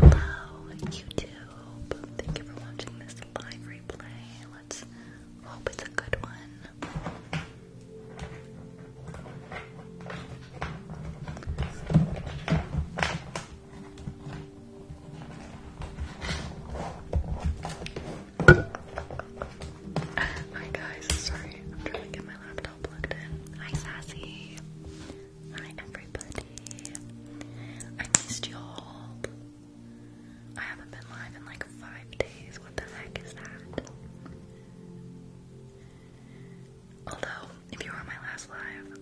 Hello, YouTube. Thank you for watching this live replay. Let's hope it's a good one. Hi guys, sorry, I'm trying to get my laptop plugged in. Hi Sassy. Hi everybody. I missed y'all. I haven't been live in like five days. What the heck is that? Although, if you were my last live,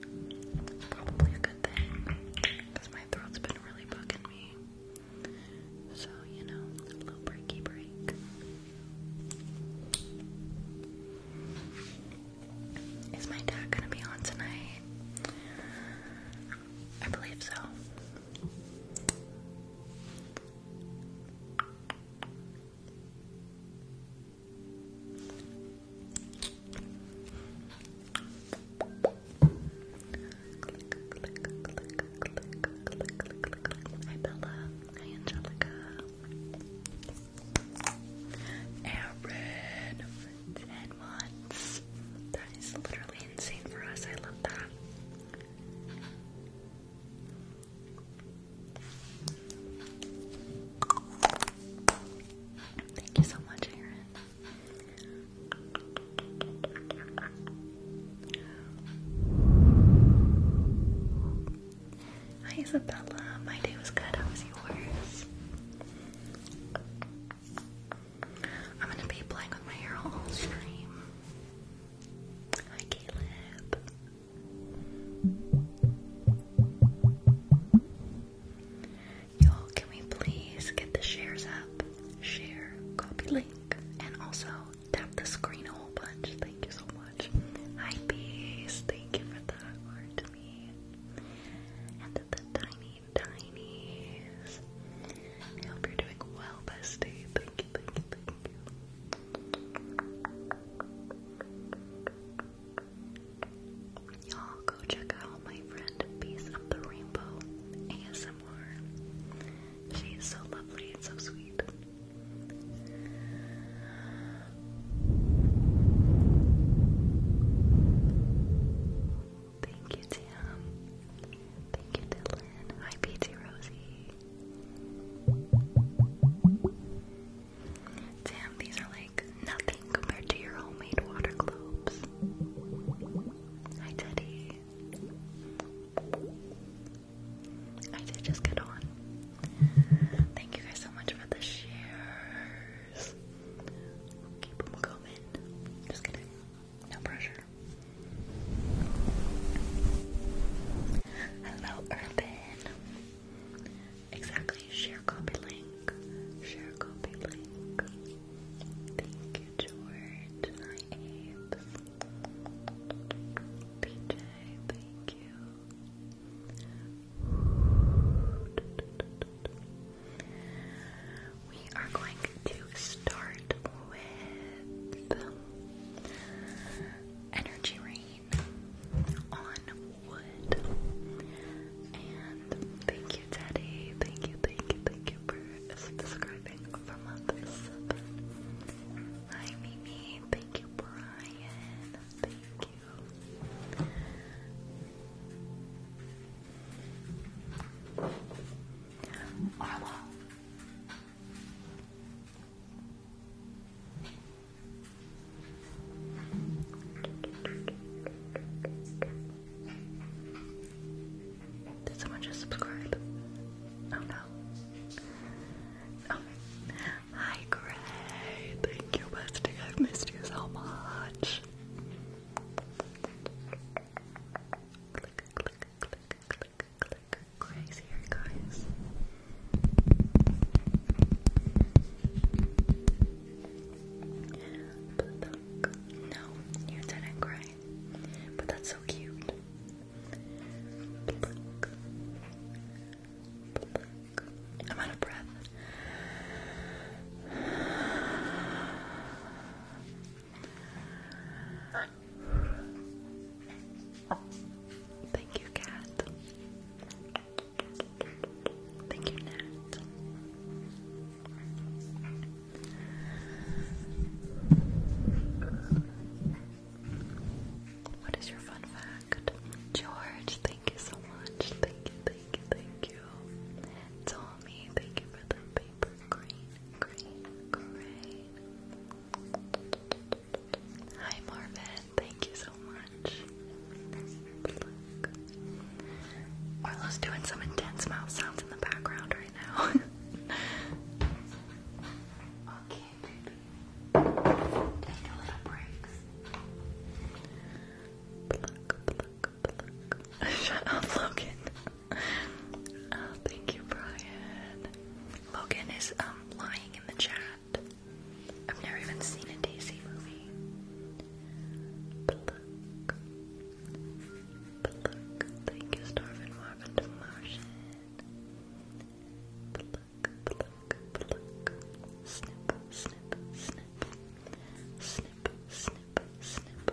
it's probably a good thing because my throat's been really bugging me. So, you know, a little breaky break. Is my dad gonna be on tonight? I believe so. Hi Bella. Hi Angelica. Aaron 10 months. That is literally insane for us. I love that. Thank you so much, Aaron. Hi Isabella, my day was good, how was yours? I'm gonna be playing with my hair all stream. Hi Caleb. Y'all, can we please get the shares up? Share, copy link, and also tap the screen a whole bunch. Thank you so much. Hi, Peace. Thank you for that word to me. And the, the tiny, I hope you're doing well, bestie. thank you. Y'all go check out my friend Piece of the Rainbow ASMR. She is so lovely and so sweet. Thank you, Tim. Thank you, Dylan. Hi, PT Rosie. Damn, these are like nothing compared to your homemade water globes. Hi, Teddy. I did just get on. Thank you guys so much for the shares. Keep them coming. Just kidding. No pressure. Hello, Urban. Exactly. Share copy link. Share copy link. Thank you, George. Hi, Abe. PJ, thank you. We are going to start with energy rain. Rain on Wood. And thank you, Teddy. Thank you, thank you, thank you for subscribing for month seven. Hi, Mimi. Thank you, Brian. Thank you. Arlo. Did someone just subscribe? Oh no. Oh. Hi, Gray. Thank you, bestie. I've missed you so much. Gray's here, guys. No, you didn't cry. But that's so cute. I'm out of breath. Thank you, cat. Thank you, What is your fun fact? George, thank you so much. Thank you, thank you, thank you. Tommy, thank you for the paper green, Hi Marvin, Thank you so much. Orlo's doing some intense mouth sounds in the background right now. okay, baby. Take a little breaks. Shut up, Logan. Oh, thank you, Brian. Logan is um, lying in the chat. I've never even seen a Daisy movie. Thank you, Starvin Marvin Martian. Snip, snip, snip. Snip, snip, snip.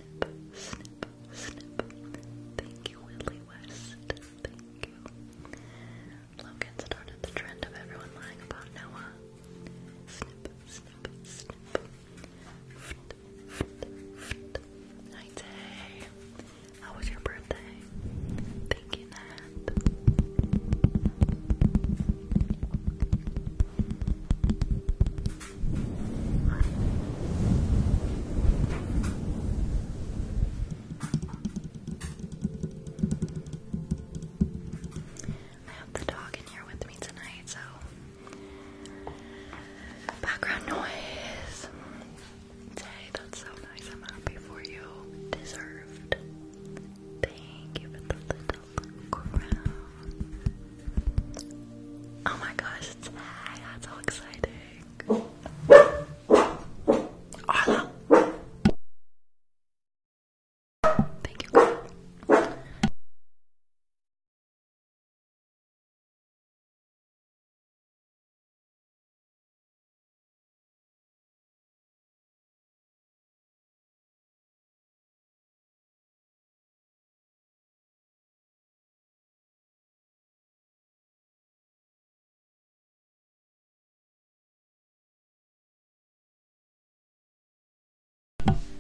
snip, snip, snip. Thank you, Willie West. Thank you. Logan started the trend of everyone lying about Noah. Snip, snip, snip. Fft, fft, How was your birthday? Thank you, Nat. I have the dog in here with me tonight, so background noise. Say that's so nice. I'm happy for you. Deserved. Thank you for the Oh my gosh, That's so exciting. Thank you.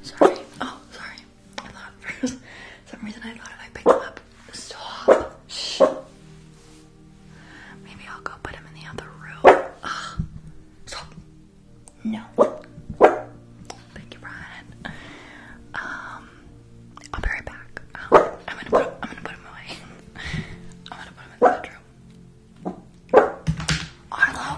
Sorry. Oh, sorry. I thought for some reason I thought if I picked up. Stop. Shh. Maybe I'll go put him in the other room. Stop. No. Thank you, Brian. Um, I'll be right back. Um, I'm gonna put I'm gonna put him away. I'm gonna put him in the bedroom. Arlo.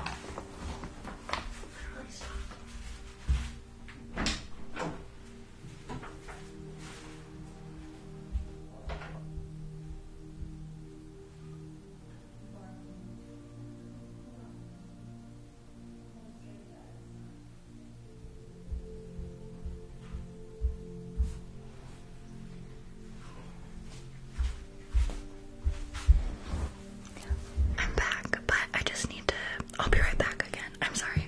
I'm back, but I just need to. I'll be right back again. I'm sorry.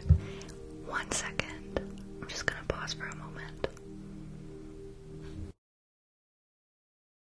One second. I'm just gonna pause for a moment.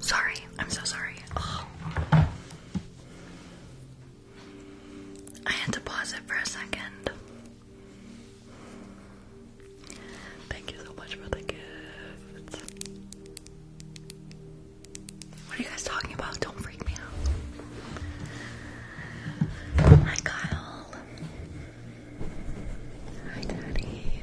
Sorry, I'm so sorry. Oh. I had to pause it for a second. Thank you so much for the gifts. What are you guys talking about? Don't freak me out. Hi, Kyle. Hi, Daddy.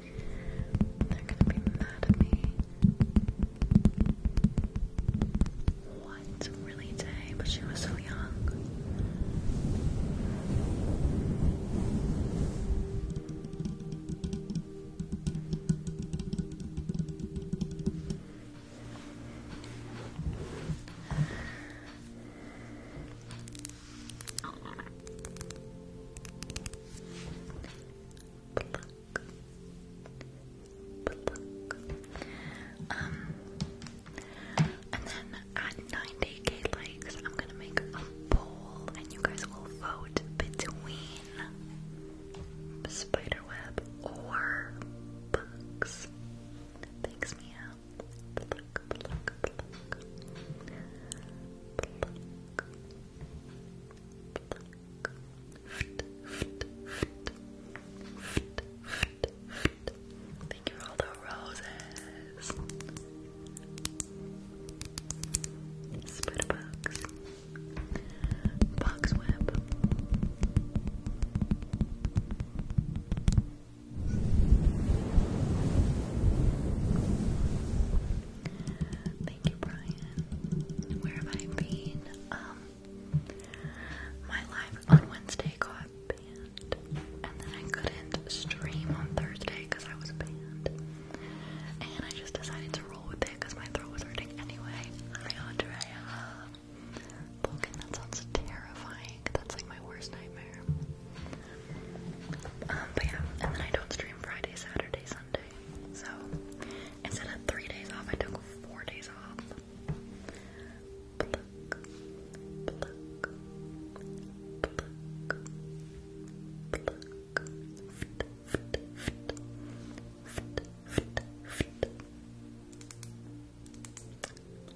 They're gonna be mad at me. What? Really, Tay? But she was so young. Um, and then at 90k likes, I'm gonna make a poll, and you guys will vote between spiderweb or bugs. Thanks, Mia. Pluck, Thank you for all the roses. Spitterbugs. Boxweb. Where have I been? Um, my live on Wednesday got banned, and then I couldn't stream on Thursday because I was banned. And I just decided to roll with it because my throat was hurting anyway. Andrea. Vulcan, that sounds terrifying. That's like my worst nightmare. Um, but yeah, and then I don't stream Friday, Saturday, Sunday. So Instead of three days off, I took four days off.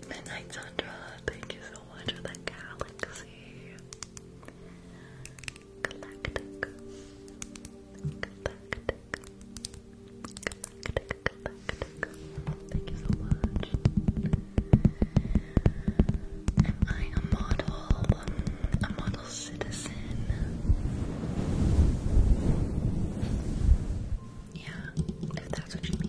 Midnight Sandra, thank you so much for the galaxy. Thank you so much. Am I a model? A model citizen? Yeah, if that's what you mean.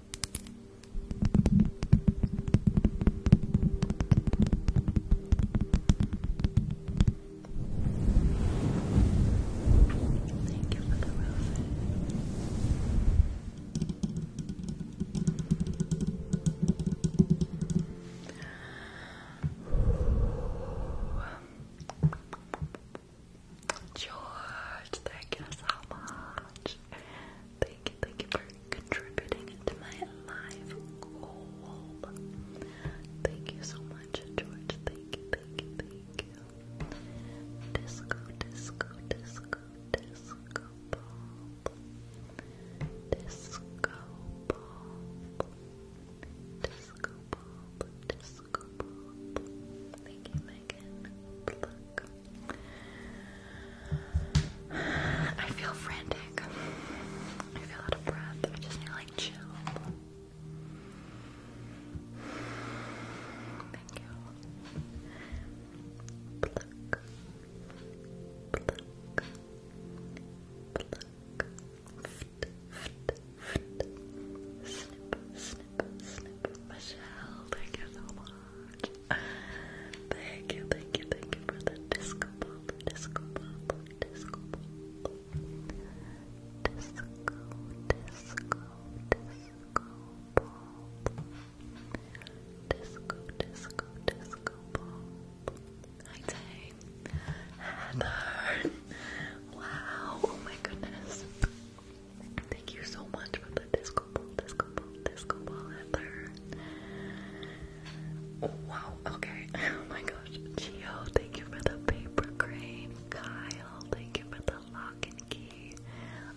Thank you for the roses. George, thank you so much. Thank you, thank you for contributing to my live goal. Thank you so much, George. Thank you, thank you, thank you. Disco, disco, disco, disco ball. Disco ball. Disco ball, disco ball. Thank you, I feel frantic. I feel out of breath. I just need like chill. Thank you. Pluck. Pluck. Pluck. Snip, snip, snip. Michelle, thank you so much. Thank you, thank you, thank you for the disco ball, disco ball, disco ball. Disco, disco, disco ball. Disco, disco, disco ball. Hi, Heather. Wow, oh my goodness. Thank you so much for the disco ball, disco ball, disco ball, Heather. wow, okay. Oh my gosh. Gio, thank you for the paper crane. Kyle, thank you for the lock and key.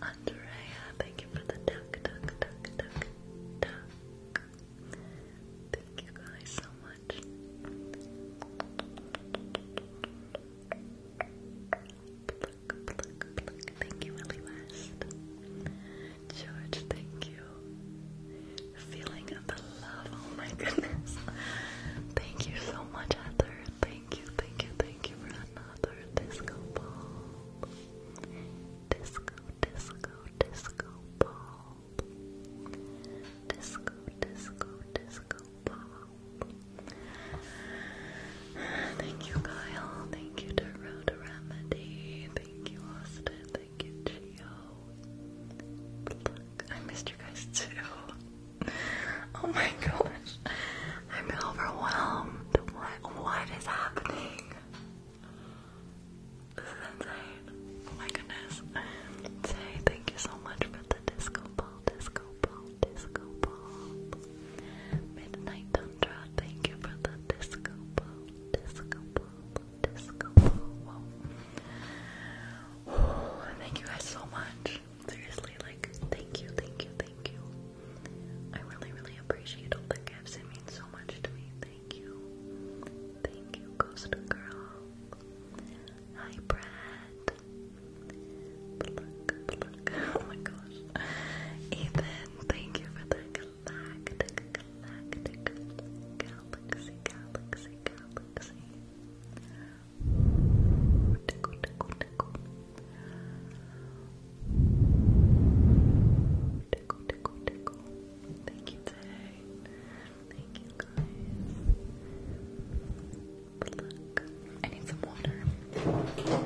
Andrea, thank you for the duck, duck, duck, duck, duck. Thank you guys so much. Thank you, Willie West. George, thank you. feeling the love, oh my goodness. thank you so much, Heather. Thank you, thank you, thank you for another disco ball. Disco, disco, disco ball. Disco, disco, disco ball. Thank you, Kyle. Thank you, Tarot Remedy. Thank you, Austin. Thank you, Gio. I missed you guys too. Oh my gosh. I'm overwhelmed. What what is happening? This is insane. Oh my goodness. Say thank you so much for the disco ball, disco ball, disco ball. Midnight Tantra, thank you for the disco ball, disco ball, disco ball. Oh, thank you guys so much. Seriously, like, thank you, thank you, thank you. I really, really appreciate all the gifts. It means so much to me. Thank you. Thank you, Ghost Girl. Hi, Brad. Oh Ethan, thank you for the galactic, galactic, galaxy, galaxy, galaxy. Tickle, tickle, tickle. Tickle, tickle, tickle. Thank you today. Thank you But look, I need some water.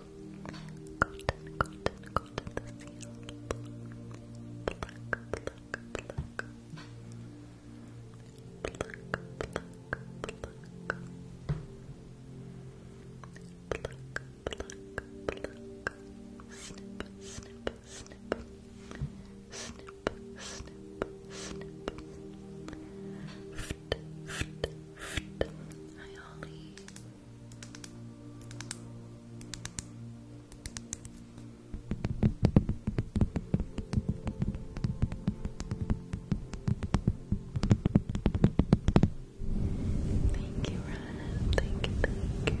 Cotton, cotton, the seal. Pluck, pluck, pluck. Pluck, pluck, pluck. Snip, snip, snip. Snip, snip, snip. Ft, ft, ft. Hi, Ollie. Thank you, Ryan. Thank you, thank you.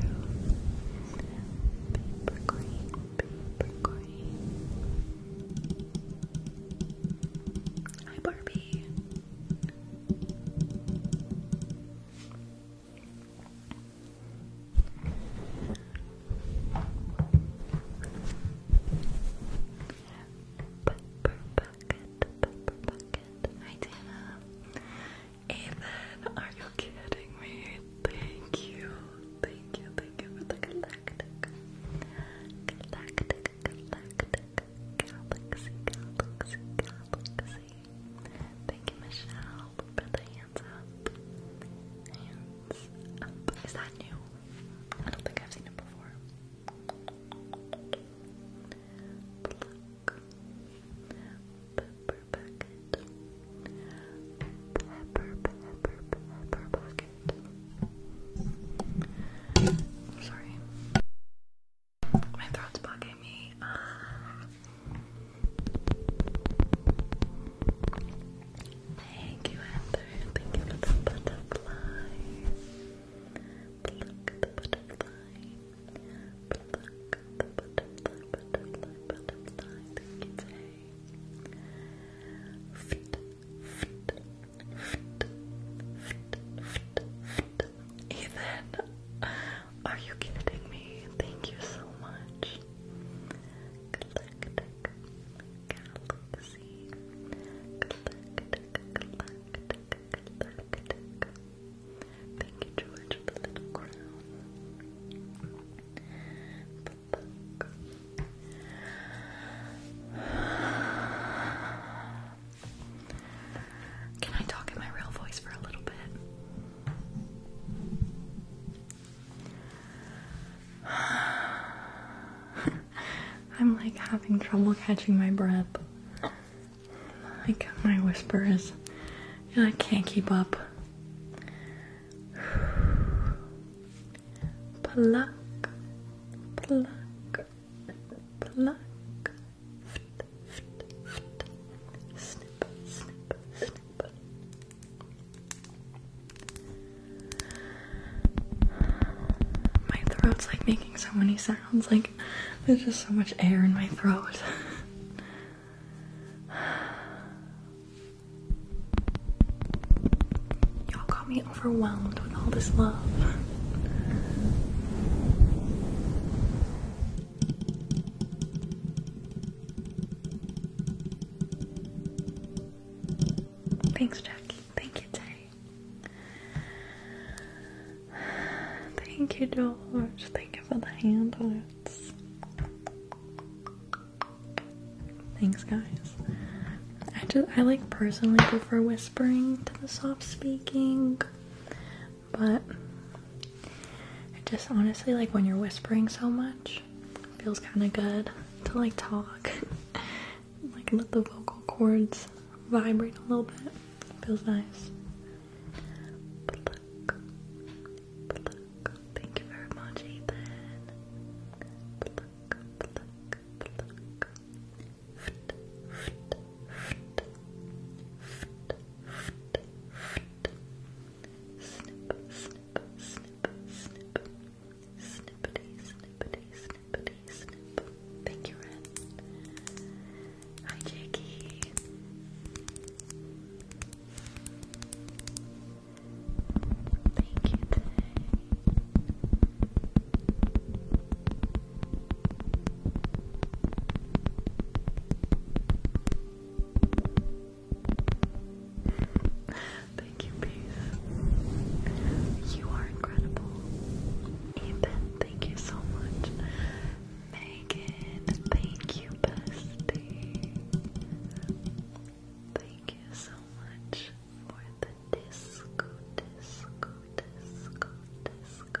Hi, Barbie. Pepper bucket, pepper bucket. Hi Dana. Ethan, are you kidding me? Thank you. Thank you, thank you for the galactic. Galactic, galactic, galaxy, galaxy, galaxy. Thank you, Michelle, for the hands up. Hands up. Is that new? I don't think I've seen it before. Pepper bucket. Pepper, pepper, pepper bucket. Sorry. My throat's blocking me. thank you, Heather. Thank you for the butterfly. Pluck the butterfly. Pluck the butterfly, butterfly, butterfly. Thank you, Tay. Fit, fit, fit, fit, fit, fit. Ethan. Are you kidding me? Thank you so much. Galactic Galaxy. Galactic, galactic, galactic. Thank you, George, for the little crown. Pluck. Can I talk in my real voice for a little bit? I'm like having trouble catching my breath. Like my whisper is, I can't keep up. Pluck, pluck, pluck, my throat's like making so many sounds, like there's just so much air in my throat. Y'all got me overwhelmed with all this love. Thanks, Jackie. Thank you, Terry. Thank you, George. Thank you for the hand Thanks, guys. I just I like personally prefer whispering to the soft speaking but just honestly like when you're whispering so much it feels kind of good to like talk like let the vocal cords vibrate a little bit feels nice thank you very much Ethan snip, snip, snip, snippity, snippity, snippity, snip. Thank you, Ren. Hi, Jakey. Thank you, Thank you, Peace. You are incredible. Ethan, thank you so much. Megan, thank you, bestie. Thank you so much for the disco, disco, disco, disco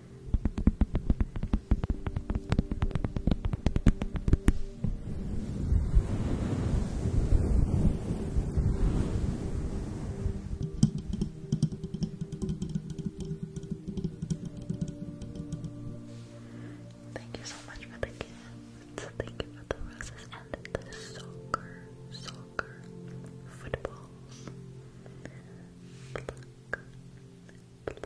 Thank you so much for the gifts. Thank you for the roses and the soccer, soccer footballs.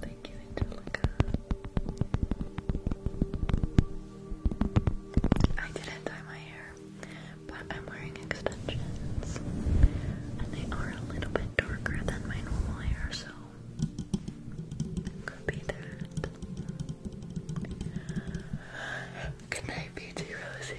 Thank you, Angelica. I didn't dye my hair, but I'm wearing extensions, and they are a little bit darker than my normal hair, so could be that. Good night, Beauty Rosie.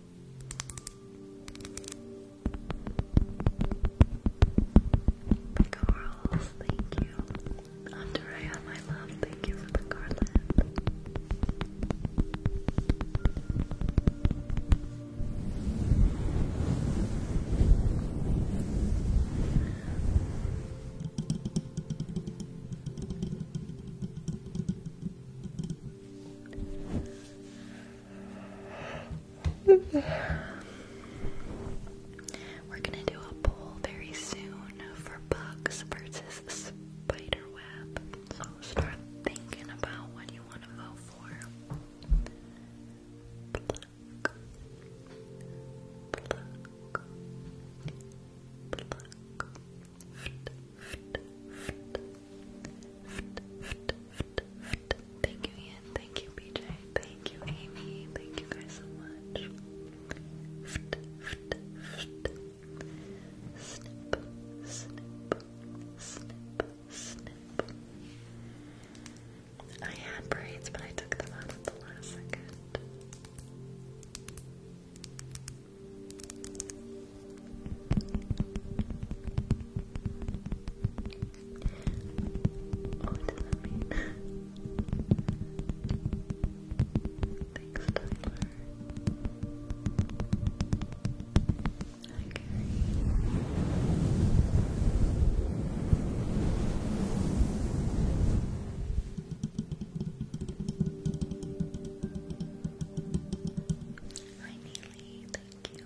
The corals, thank you. Andrea, my love, thank you for the garland. We're gonna do a poll very soon for bugs versus spider web. So start thinking about what you want to vote for. Thank you, Ian. Thank you, BJ. Thank you, Amy. Thank you guys so much. Snip, snip, snip, snip. I had braids, but I took them out at the last second. Oh, Thanks, Tyler. Okay. Hi, Neely. Thank you.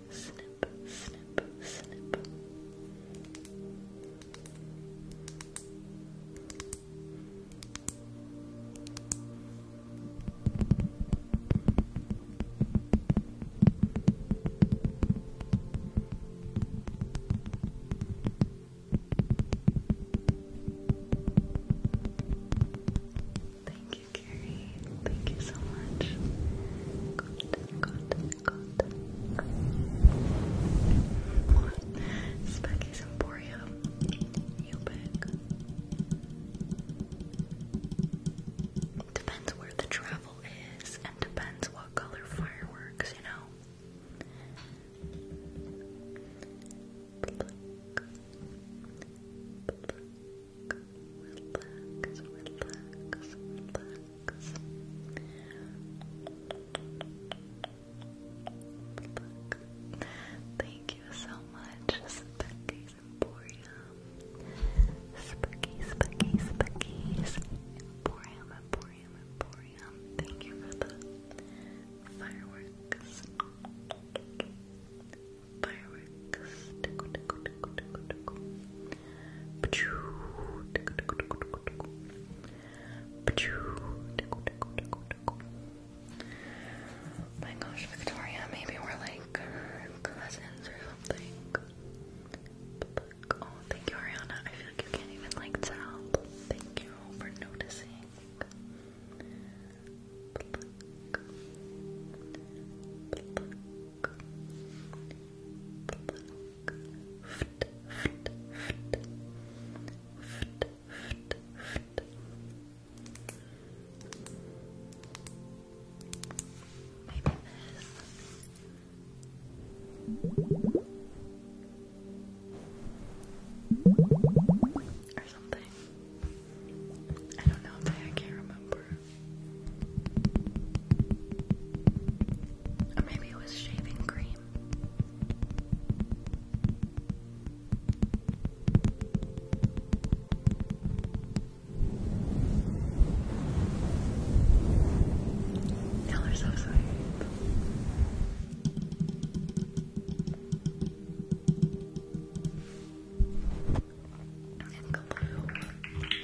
snip, snip, snip. Thank you, Carrie. Thank you so much. Good, good. Specky's Emporium. Depends where the travel is, and depends what color fireworks, you know. Thank you so much, Specky's Emporium. Specky, Specky, Specky's Emporium, Emporium, Emporium. Thank you for the fireworks. Fireworks. Tickle, tickle, tickle, tickle, tickle. My gosh, Victoria, maybe we're like cousins or something. Oh, thank you, Ariana. I feel like you can't even like tell. Thank you for noticing. Maybe this. Or something. I don't know if I can't remember. Or maybe it was shaving cream. you so sweet.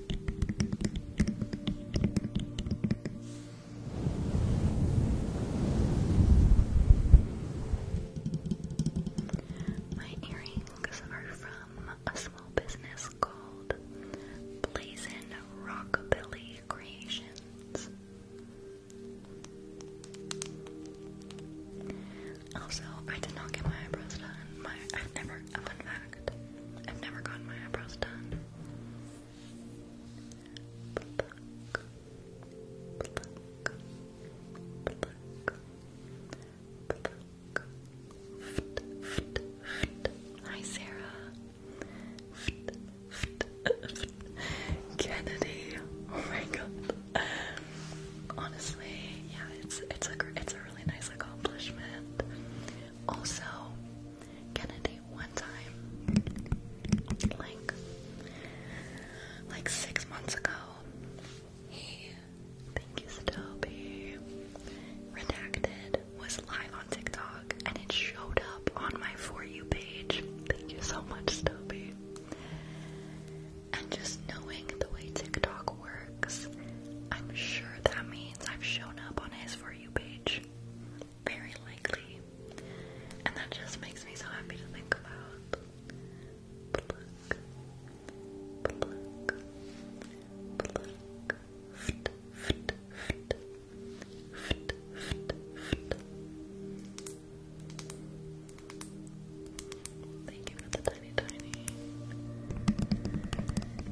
My earrings are from a small business called Blazin Rockabilly Creations. Also, I did not get my eyebrows done. My I've never fun fact. I've never gotten my eyebrows done. Hi, Sarah. Kennedy. Oh my god. Honestly, yeah, it's it's a it's a really nice accomplishment. Also, Kennedy one time, like like six months ago. He, thank you, Stoby. Redacted was live on TikTok and it showed up on my For You page. Thank you so much, Stoby. And just knowing the way TikTok works, I'm sure that means I've shown up on his For You page very likely. And that just makes me so happy to think about. Thank you for the tiny, tiny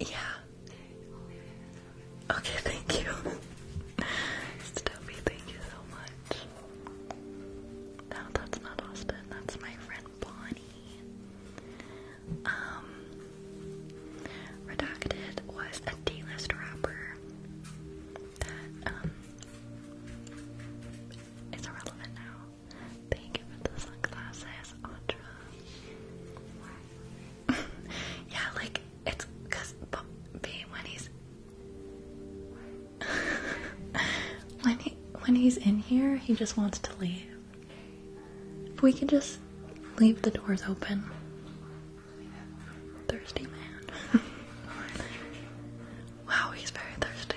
Yeah. Okay, thank you. Stubby, thank you so much. No, that's not Austin. That's my friend Bonnie. Um, Redacted was a D-list rapper um is irrelevant now. Thank you for the sunglasses, Audra. yeah, like it's because when he's when he when he's in here, he just wants to leave. If we can just leave the doors open, thirsty man. wow, he's very thirsty.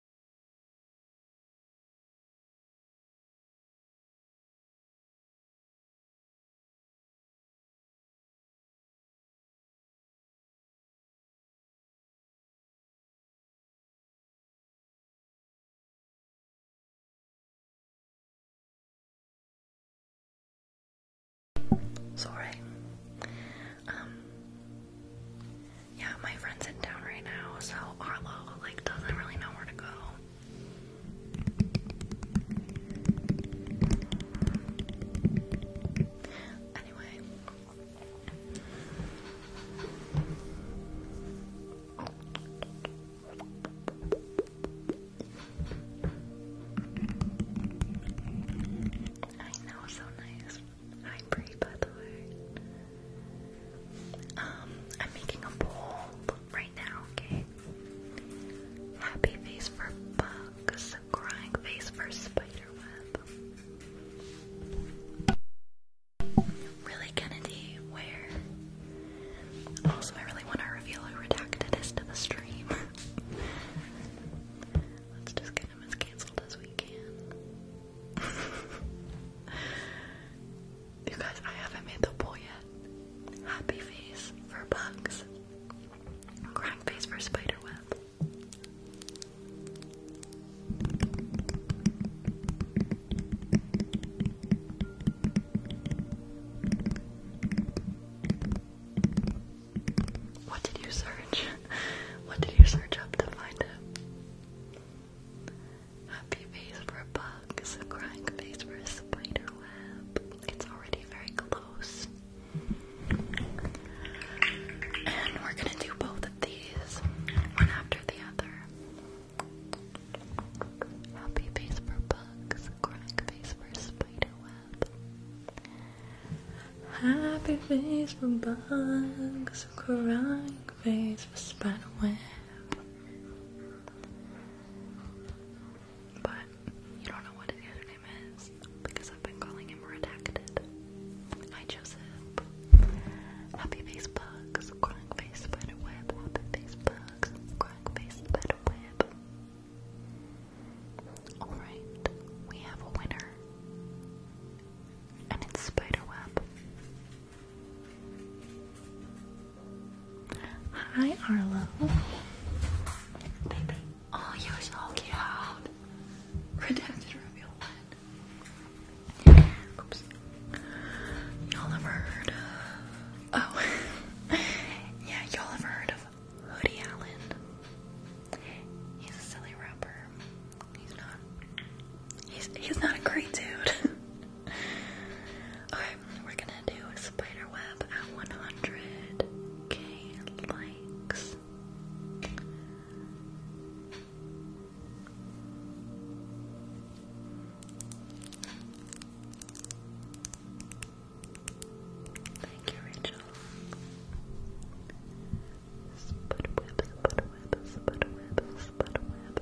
Sorry. Um, yeah, my friend's in town right now, so Arlo like doesn't really know where to go. Anyway. I know, so nice. Hi Bree, by the way. Um, I'm making a poll right now, okay? Happy face for bugs, crying face for spiderweb. Really, Kennedy, where? Also, I really want to reveal who redacted is to the stream. Let's just get him as cancelled as we can. You guys, I haven't made the poll yet. Happy face for bugs. Crying face for spider web. What did you search? What did you search up to find it? Happy face for a bug, a crying face for a spider web. It's already very close. And we're gonna do both of these, one after the other. Happy face for bugs, crying face for spider web. Happy face for bugs, crying face for spider web. But you don't know what his username is because I've been calling him redacted. Hi Joseph. Happy face crying face spider web, happy face crying face spider web. Alright, we have a winner. And it's spiderweb. Hi, Arlo. Oh, you're so cute. reveal Y'all have heard of... Oh. yeah, y'all have heard of Hoodie Allen. He's a silly rapper. He's not... He's, he's not a great dude. Alright, we're gonna do a spider web at 100k likes. Thank you, Rachel. Spud web, spud web, spud web, spud web.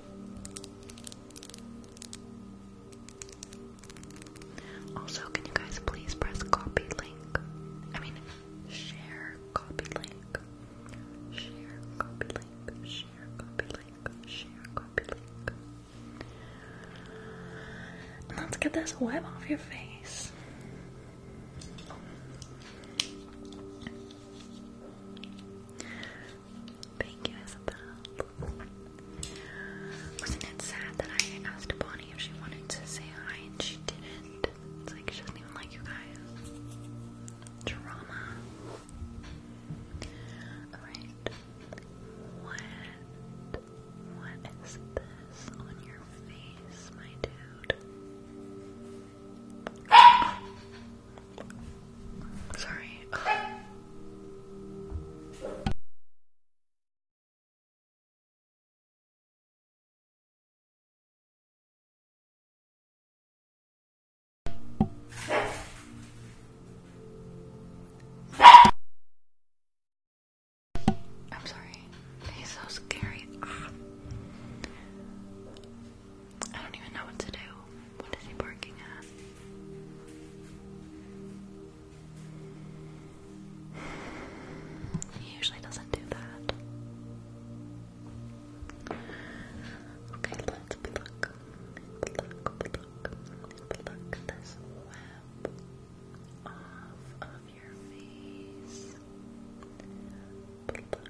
Also, can you guys please press copy link? I mean, share copy link. Share copy link. Share copy link. Share copy link. And let's get this web off your face. Wasn't it sad that I asked Bonnie if she wanted to say hi and she didn't? It's like she doesn't even like you guys. Drama. Alright. What what is this on your face, my dude? Sorry. I'm sorry. He's so scary. Ah. I don't even know what to do. What is he barking at? He usually doesn't do that. Okay, let's pluck, pluck, pluck, pluck this web off of your face. Pluck, pluck,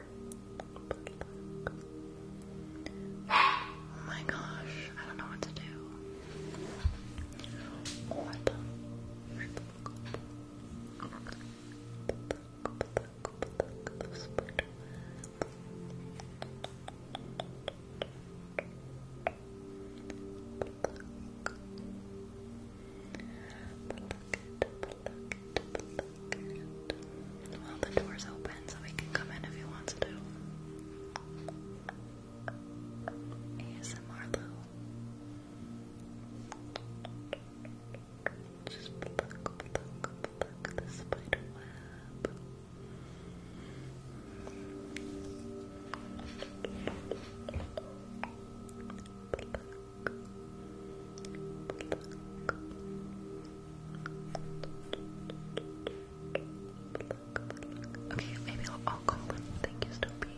Oh my gosh, I don't know what to do. Good. Well, the door's open, so he can come in if he wants to. ASMR Lou. Just pluck, pluck, pluck the spider web. Okay, maybe I'll, call him. Thank you, Stoopy.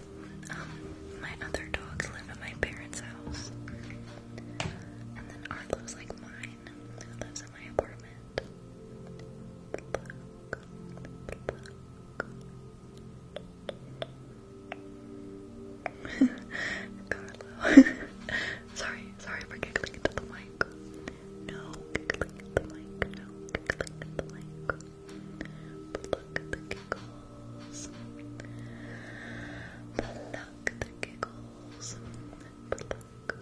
Um, my other dogs live at my parents' house. And then Arlo's like mine, who lives in my apartment. Carlo. sorry, sorry for giggling into the mic. No giggling the mic, no giggling the mic. Pluck the giggles. Pluck the giggles. Pluck, pluck,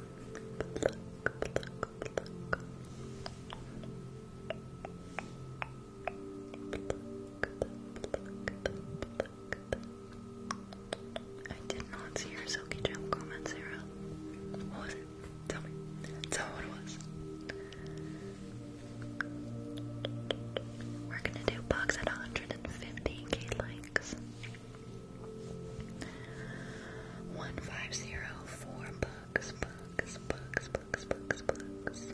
pluck, pluck. I did not see your Silky Gem comment, Sarah. What was it? Tell me. Tell me what it was. We're gonna do bugs at 115k likes. 1504 bugs, bugs, bugs, bugs, bugs, bugs.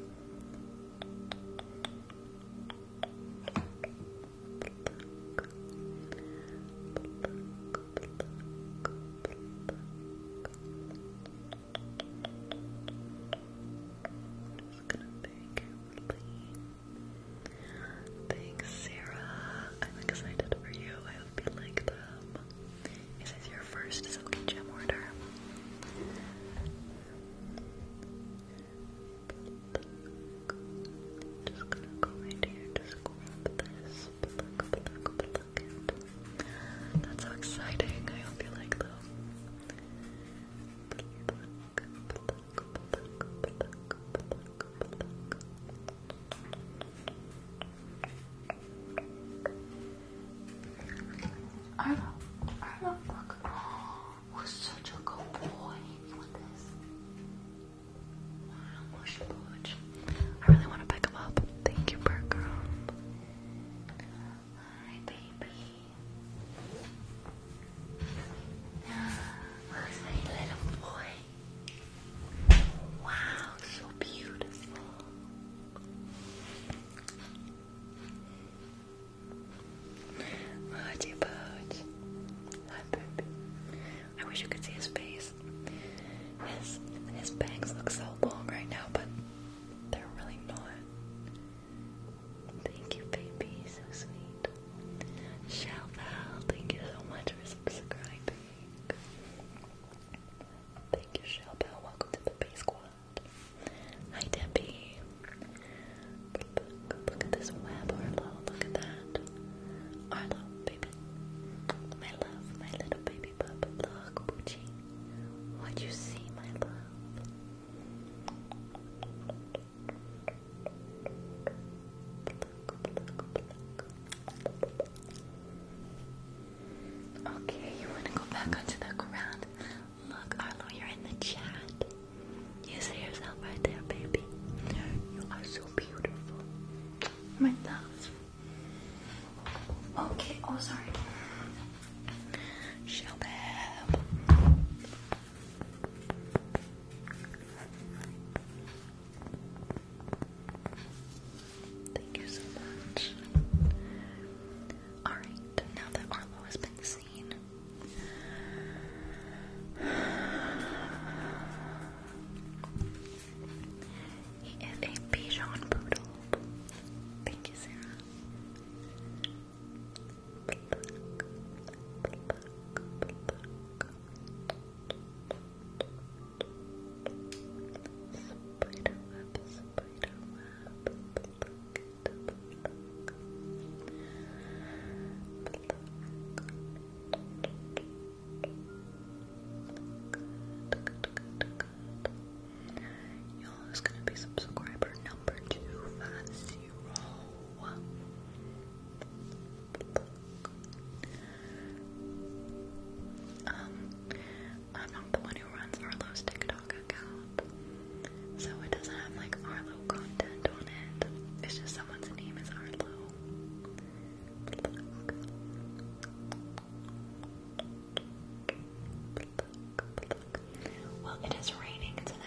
Thanks, Sarah. I'm excited for you. I hope you like them. This is your first silky gem order. Just gonna go right here, just grab this, That's so exciting. I hope you like them. Arlo, Arlo, look. We're such a good boy. I really want to pick him up. Thank you, Bird Girl. Hi, baby. Where's my little boy? Wow, so beautiful. Oh, dear Hi, baby. I wish you could see his face. His his bangs look so long right now, but they're really not. Thank you, baby. So sweet. Shelval, thank you so much for subscribing. Thank you, Shelval. Welcome to the Base Squad. Hi, Debbie. Look, at this web, Arlo. Look at that. Arlo, baby. My love, my little baby pup. Look, Poochie. What you see, my love? Okay, you want to go back onto the ground? Look, Arlo, you're in the chat. You see yourself right there, baby. You are so beautiful. My love. Okay, oh, sorry. Shelbab. Thank you so much. Alright, now that Arlo has been seen, he is a Bichon Poodle. Thank you, Sarah. Spider web, Y'all is gonna be subscriber number two five zero. Um, I'm not the one who runs Arlo's TikTok account, so it doesn't have like Arlo content on it. It's just someone's name is Arlo. Well, it is raining tonight.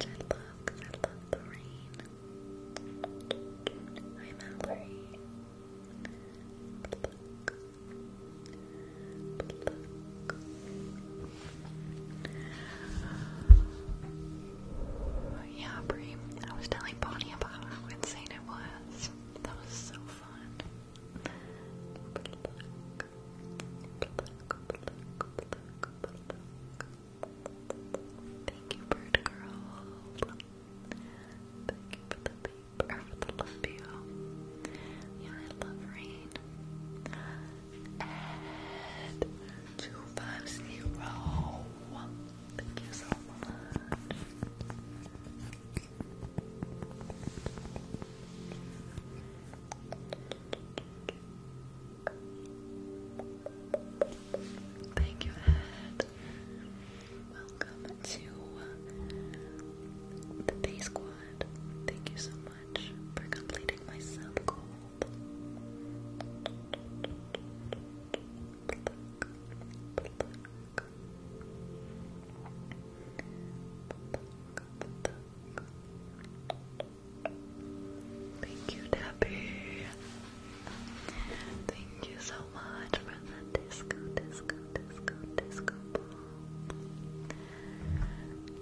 I love I love the rain. Hi, Mallory. Pluck. Yeah, Brie, I was telling Bonnie about how insane it was. That was so fun. Thank you, bird girl. Thank you for the paper, for the love you. Yeah, I love rain. two five zero. Thank you so much. Thank you, Ed. Welcome to the Bay Squad. Thank you so much for completing my sub goal. Thank you, Debbie. Thank you so much for the disco, disco, disco, disco ball.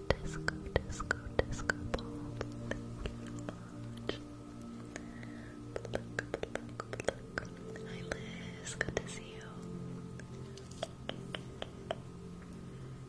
Disco, disco, disco ball. Hi, Liz. Good to see you.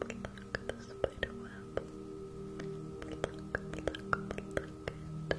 Pluck the spider web. Pluck, pluck, pluck it. Pluck, pluck, pluck,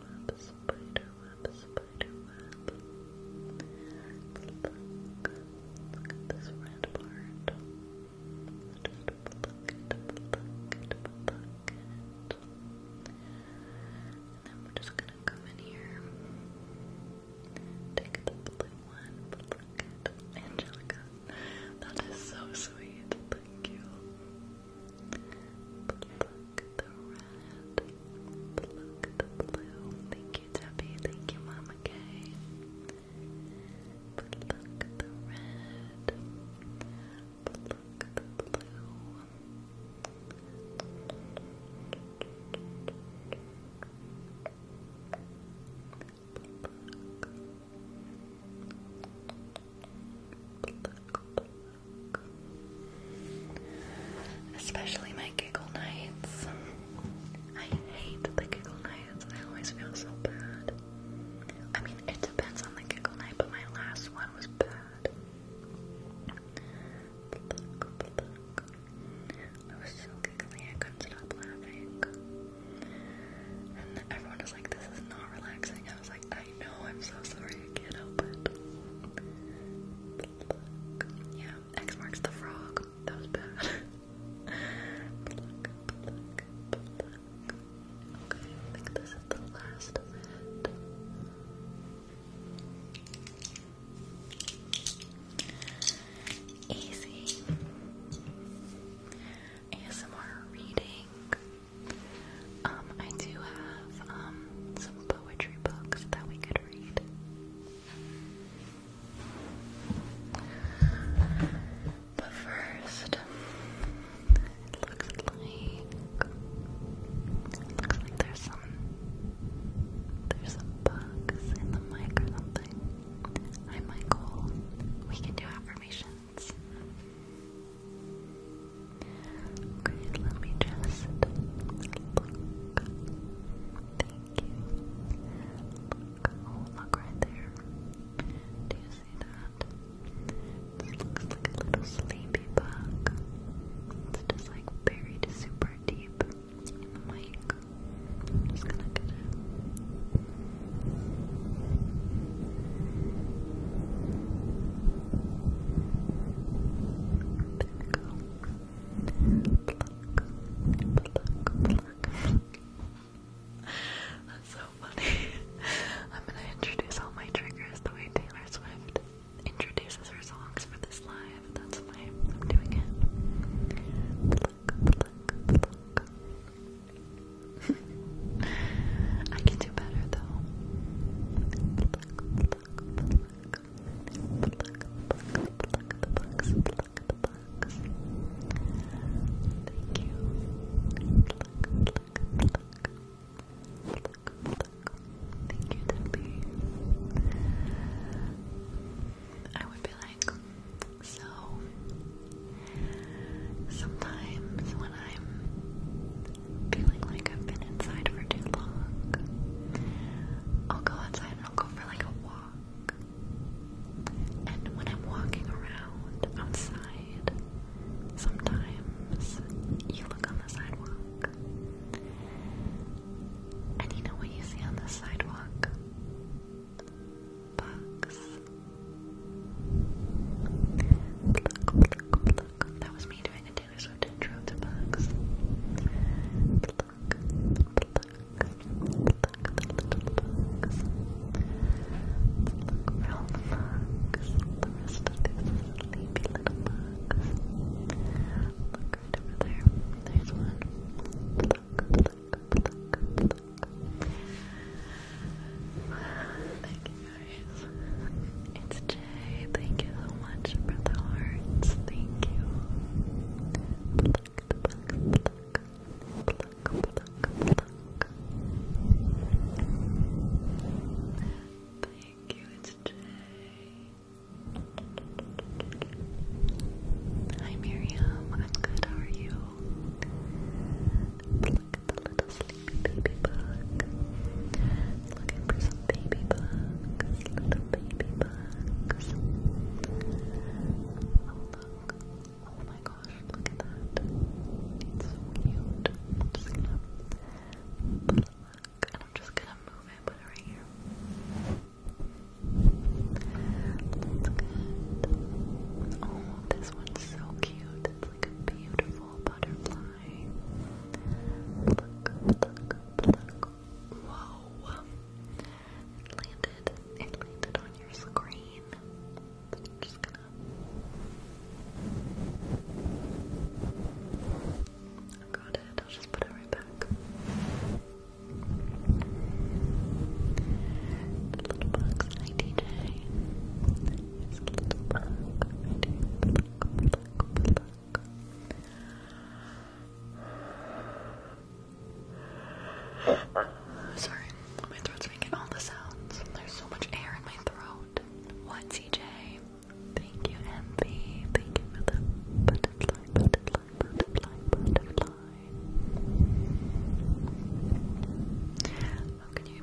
web, spider web, spider web. this red part. And then we're just gonna come in here, take the blue one, Angelica, that is so sweet. Thank you. Pluck the red. Pluck the blue. Thank you, Debbie. Thank you, Mama K. Pluck the red. Pluck the blue. Especially my giggle nights. I hate the giggle nights. I always feel so bad. I mean, it depends on the giggle night, but my last one was bad. I was so giggly, I couldn't stop laughing. And everyone was like, This is not relaxing. I was like, I know, I'm so sorry, I can't help it. Yeah, X marks the frog. That was bad. Okay, this is the last Easy. ASMR reading. Um, I do have um, some poetry books that we could read. But first, looks like looks like there's some there's some bugs in the mic or something. Hi Michael. We can do affirmations. Okay, let me just look. Thank you. Look. Oh, look right there. Do you see that? This looks like a little sleepy bug. It's just like buried super deep in the mic. I'm just gonna get it. That's so funny. I'm gonna introduce all my triggers the way Taylor Swift introduces her songs for this live. That's why I'm doing it. I can do better though. Thank you. Thank you, Debbie. I would be like, so sometimes when I'm feeling like I've been inside for too long. I'll go outside and I'll go for like a walk. And when I'm walking around outside, sometimes you look on the sidewalk. And you know what you see on the sidewalk? Bugs. Pluck, pluck, pluck. That was me doing Taylor Swift intro to bugs. Pluck, bugs. the rest of these sleepy little bugs. Look over there. There's one. Pluck, pluck, pluck, pluck. Thank you it's Jay. Thank you so much for the hearts. Thank you. Pluck, Thank you, it's Jay. Hi Miriam, I'm good, how are you? the little sleepy baby bug. Looking for some baby bugs. Little baby bugs. Oh, oh my gosh, look at that. It's so cute. just going And I'm just gonna move it, put it right here. Oh, this one's so cute. It's like a beautiful butterfly eye. Pluck, It landed. It landed on your screen. just gonna I got it. I'll just put it right back. little box, DJ. Sorry, my throat's making all the sounds. There's so much air in my throat. What, CJ? Thank you, Envy. Thank you for the butterfly, butterfly, butterfly, butterfly. How oh, can you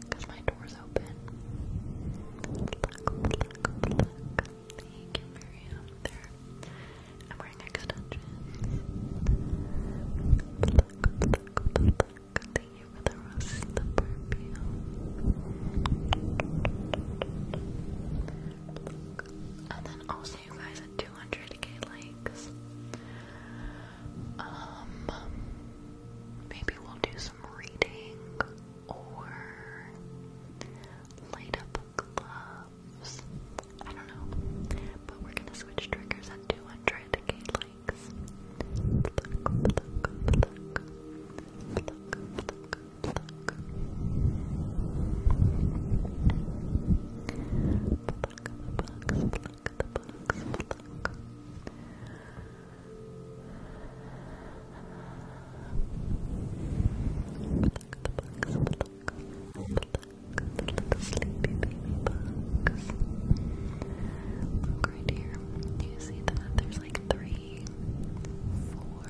because my door's open. I'm wearing extensions. Thank you for the rose, you guys at 200k likes. Um, maybe we'll do some reading or light up gloves. I don't know, but we're gonna switch triggers at 200k likes pluck, the box, pluck. Pluck the bugs, pluck, pluck the little sleepy baby Look right here. Do you see that? There's like three, four,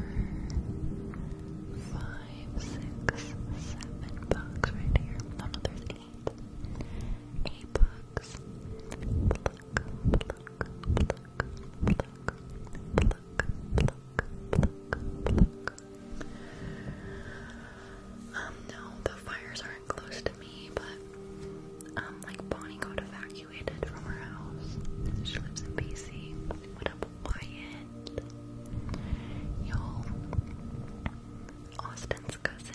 five, six, seven bugs right here. No, no, there's a books. Um, no, the fires aren't close to me, but um, like Bonnie got evacuated from her house. She lives in BC. What up, Wyatt? Y'all, Austin's cousin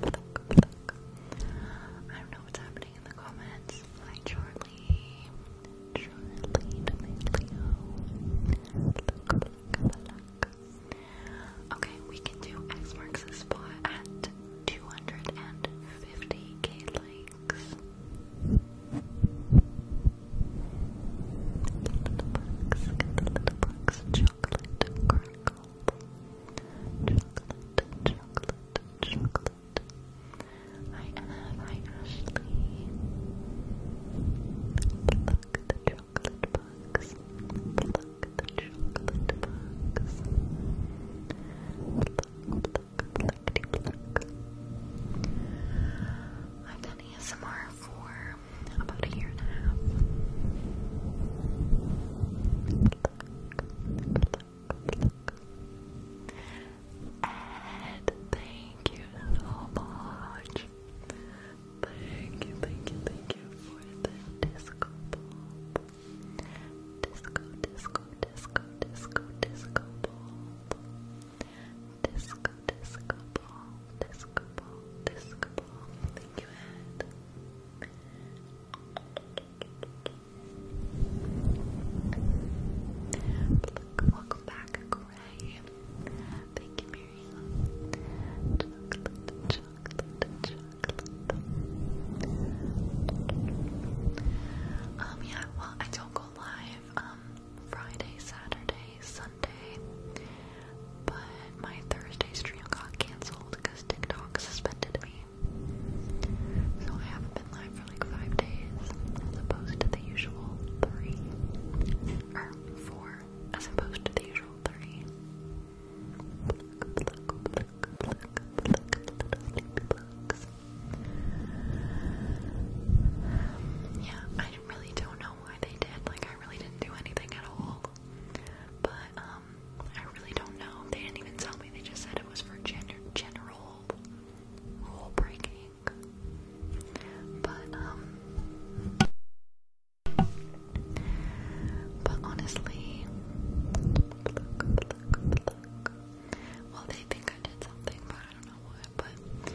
I don't know what's happening in the comments. Hi, Charlie. Charlie to Okay, we can do X marks the spot at 250k likes. Get the bugs, get the bugs, chocolate, chocolate, chocolate, chocolate, Charlotte. Hi Anne, hi Ashley. Pluck the chocolate bugs. Pluck the chocolate bugs. Pluck, pluck, pluckety pluck. I've done ASMR for about a year and a half look. thank you so much. Thank you, thank you, thank you for the disco ball. Disco, disco, disco, disco, disco ball. Disco, disco ball, disco ball, disco ball. Thank you, Ed welcome back, Gray. Thank you, Miriam. Um, yeah, well, I don't go live, um, Friday, Saturday, Sunday, but my Thursday stream got cancelled because TikTok suspended me. So I haven't been live for like five days, as opposed to the usual three. Or four, as opposed to the usual three. Yeah, I really don't know why they did. Like, I really didn't do anything at all. But, um, um, I really don't know. They didn't even tell me. They just said it was for gender general rule breaking. But um, but honestly, well, they think I did something, but I don't know what. But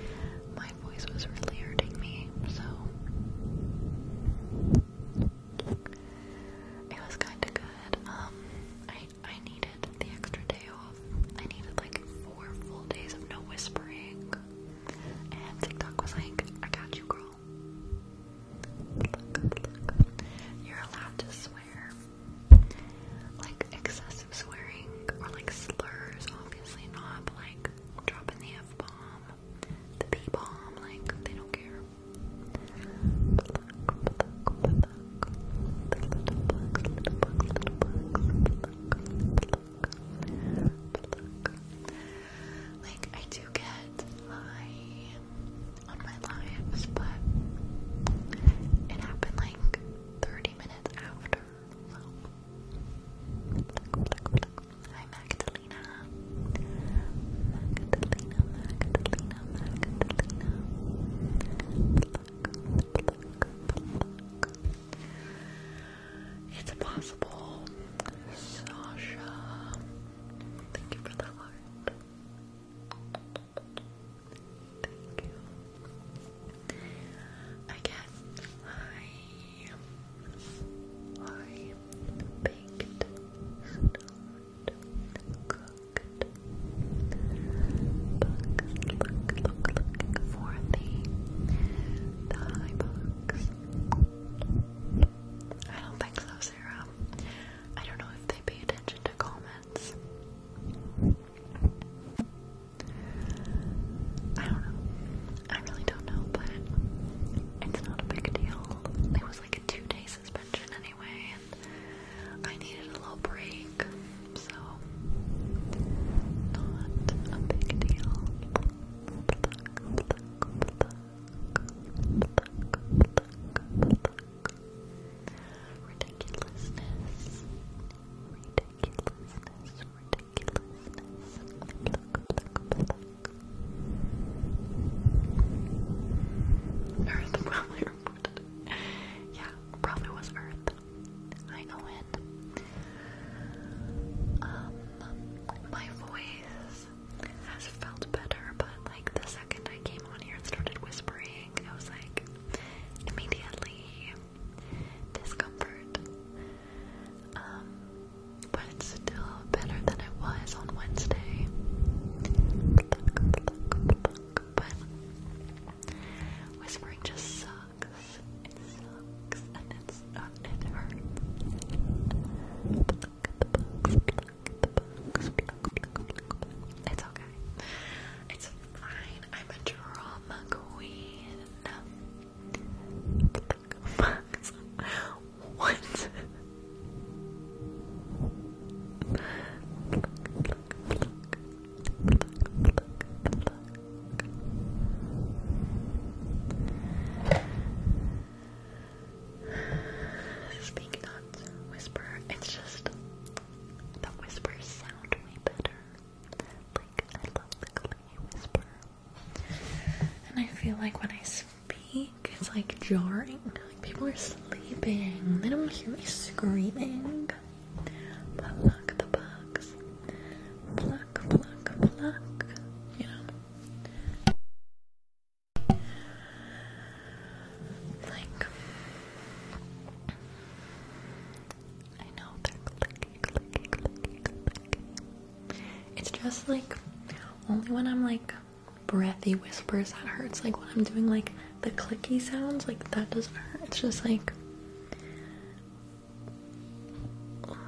my voice was really hurting me, so. It was kind of good. Um, I needed the extra day off. I needed like four full days of no whispering. And TikTok was like, I got you, girl. You're allowed to swear. Like excessive swearing or like slurs, obviously not, but like dropping the F bomb, the B bomb, like they don't care. Like I do get high on my lives, but it happened like 30 minutes after. Hi Magdalena. Magdalena, Magdalena. It's possible. Sasha. Thank you for the heart. Thank you. Again, hi. Hi. Baked. Stoned looked, bugs, look, look, looking for the, the high bugs. I don't think so, Sarah. I don't know if they pay attention to comments. I don't know. I really don't know, but it's not a big deal. It was like a two-day suspension, anyway, and I needed a little break, so not a big deal. Ridiculousness, ridiculousness, ridiculousness. Earth probably yeah, probably was Earth. I know it. Um, my voice has felt better, but like the second I came on here and started whispering, I was like, immediately discomfort. Um, but it's still better than it was on Wednesday whispering just sucks. It sucks and it's it hurts. It's okay. It's fine. I'm a drama queen. What? Speak not, whisper. It's just the whispers sound way better. Like I love the clay whisper. And I feel like when I speak, it's like jarring. Like people are sleeping. They don't hear me screaming. Pluck the bugs. Pluck, pluck, pluck. You know. Like I know they're clicky, clicky, clicky, clicky. It's just like only when I'm like breathy whispers that hurts. Like when I'm doing like the clicky sounds, like that doesn't hurt. It's just like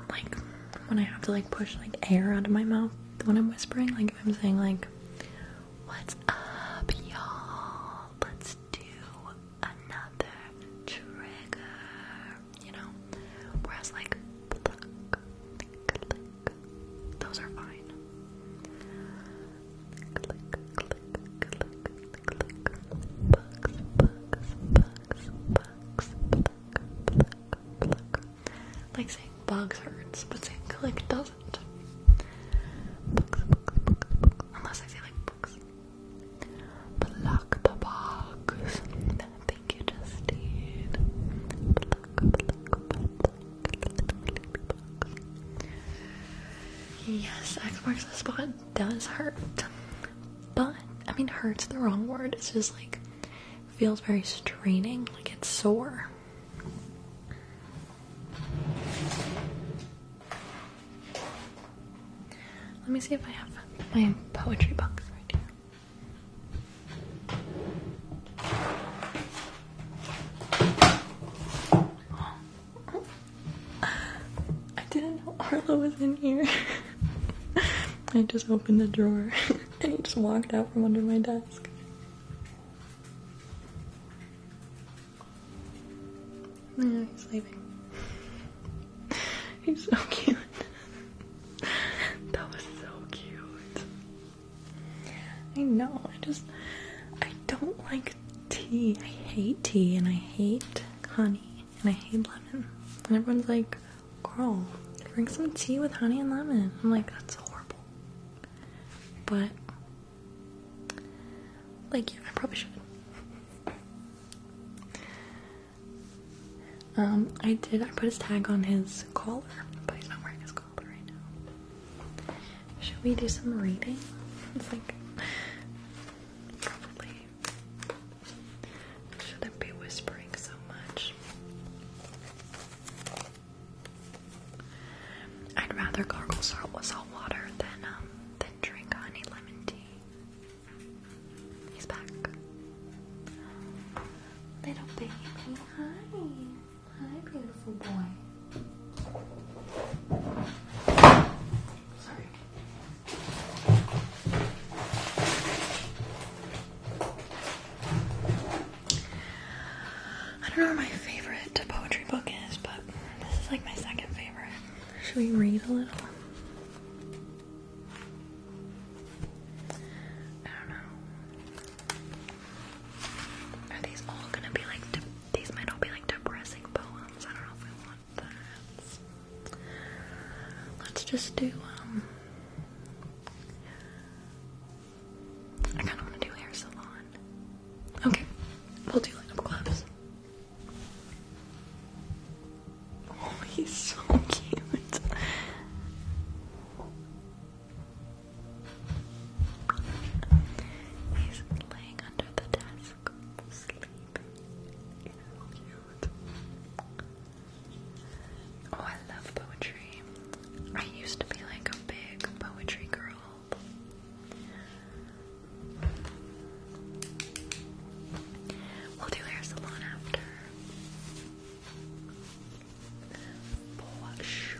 like when I have to like push like air out of my mouth when I'm whispering, like if I'm saying like what's up y'all? Let's do another trigger you know? Whereas like those are fine. Like saying bugs hurts, but saying click doesn't. Unless I say like bugs. Pluck the bugs. Thank you, Justine. Pluck, pluck, pluck, Yes, X marks the spot does hurt. But, I mean, hurt's the wrong word. It's just like, feels very straining, like it's sore. Let me see if I have my poetry box right here. I didn't know Arlo was in here. I just opened the drawer and he just walked out from under my desk. No, oh, he's leaving. He's so cute. that was so cute. I know, I just I don't like tea. I hate tea and I hate honey and I hate lemon. And everyone's like, girl, drink some tea with honey and lemon. I'm like, that's horrible. But, like, yeah, I probably should. Um, I did, I put his tag on his collar, but he's not wearing his collar right now. Should we do some reading? It's like shouldn't be whispering so much. I'd rather gargle salt with salt water than um than drink honey lemon tea. He's back. Little baby, hi. Hi, beautiful boy. I don't know where my favorite poetry book is, but this is like my second favorite. Should we read a little? I don't know. Are these all gonna be like these might all be like depressing poems. I don't know if we want that. Let's just do, um. I kind of want to do hair salon. Okay, we'll do like Oh, he's so cute. He's laying under the desk. Oh, I love poetry. I used to be like a big poetry girl. We'll do hair salon after. For sure.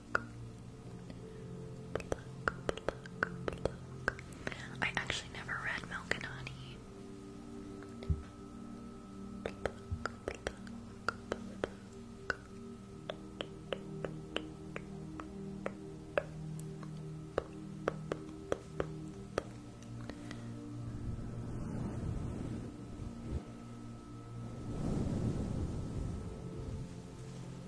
I actually never read Milk and Honey.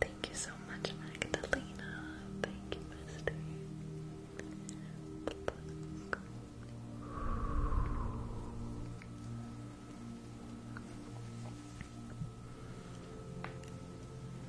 Thank you so much, Magdalena. Thank you, Misty.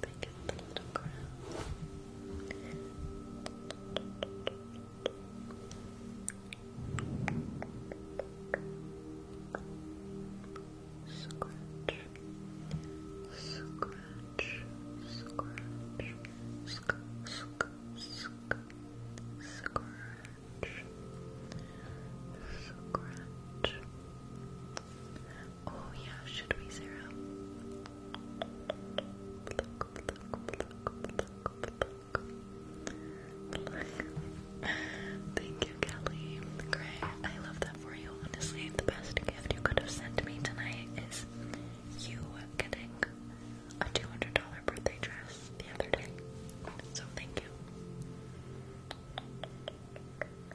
Pick up the little crown. Scratch. Scratch. Scratch. scratch. Scratch. Oh yeah, should we, zero? Thank you, Kelly. Gray, I love that for you. Honestly, the best gift you could have sent me tonight is you getting a $200 birthday dress the other day. So, thank you.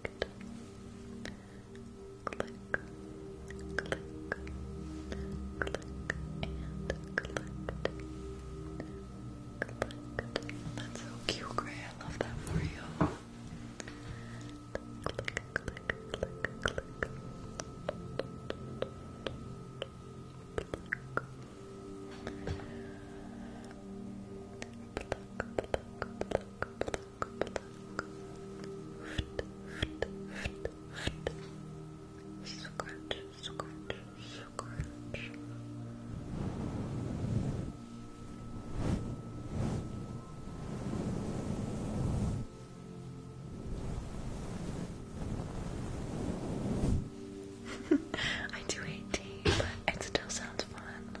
clicked, click, click, click, and clicked, That's so cute, Gray. I love that for you. Click, click, click, click. Pluck. I do hate tea, but it still sounds fun.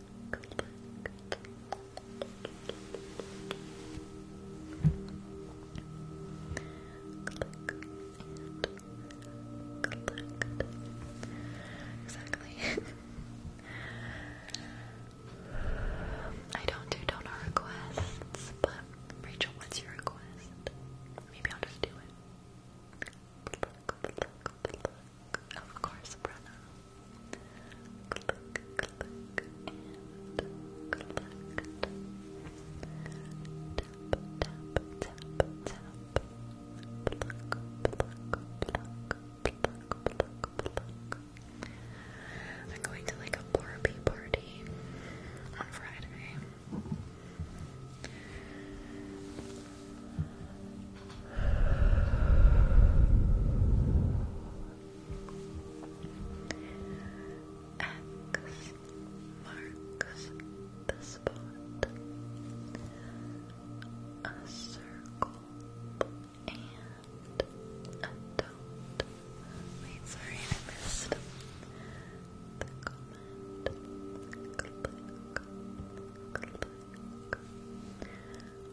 look, look. Exactly. I don't do donor requests, but Rachel, what's your request? Maybe I'll just do it of course, Brenna. Click, click, and collect. Tap, tap, tap, tap. Pluck, pluck, pluck, pluck, pluck, pluck. I'm going to like a Barbie party on Friday. X marks the spot. A circle and a dot. Wait, sorry, I missed the comment.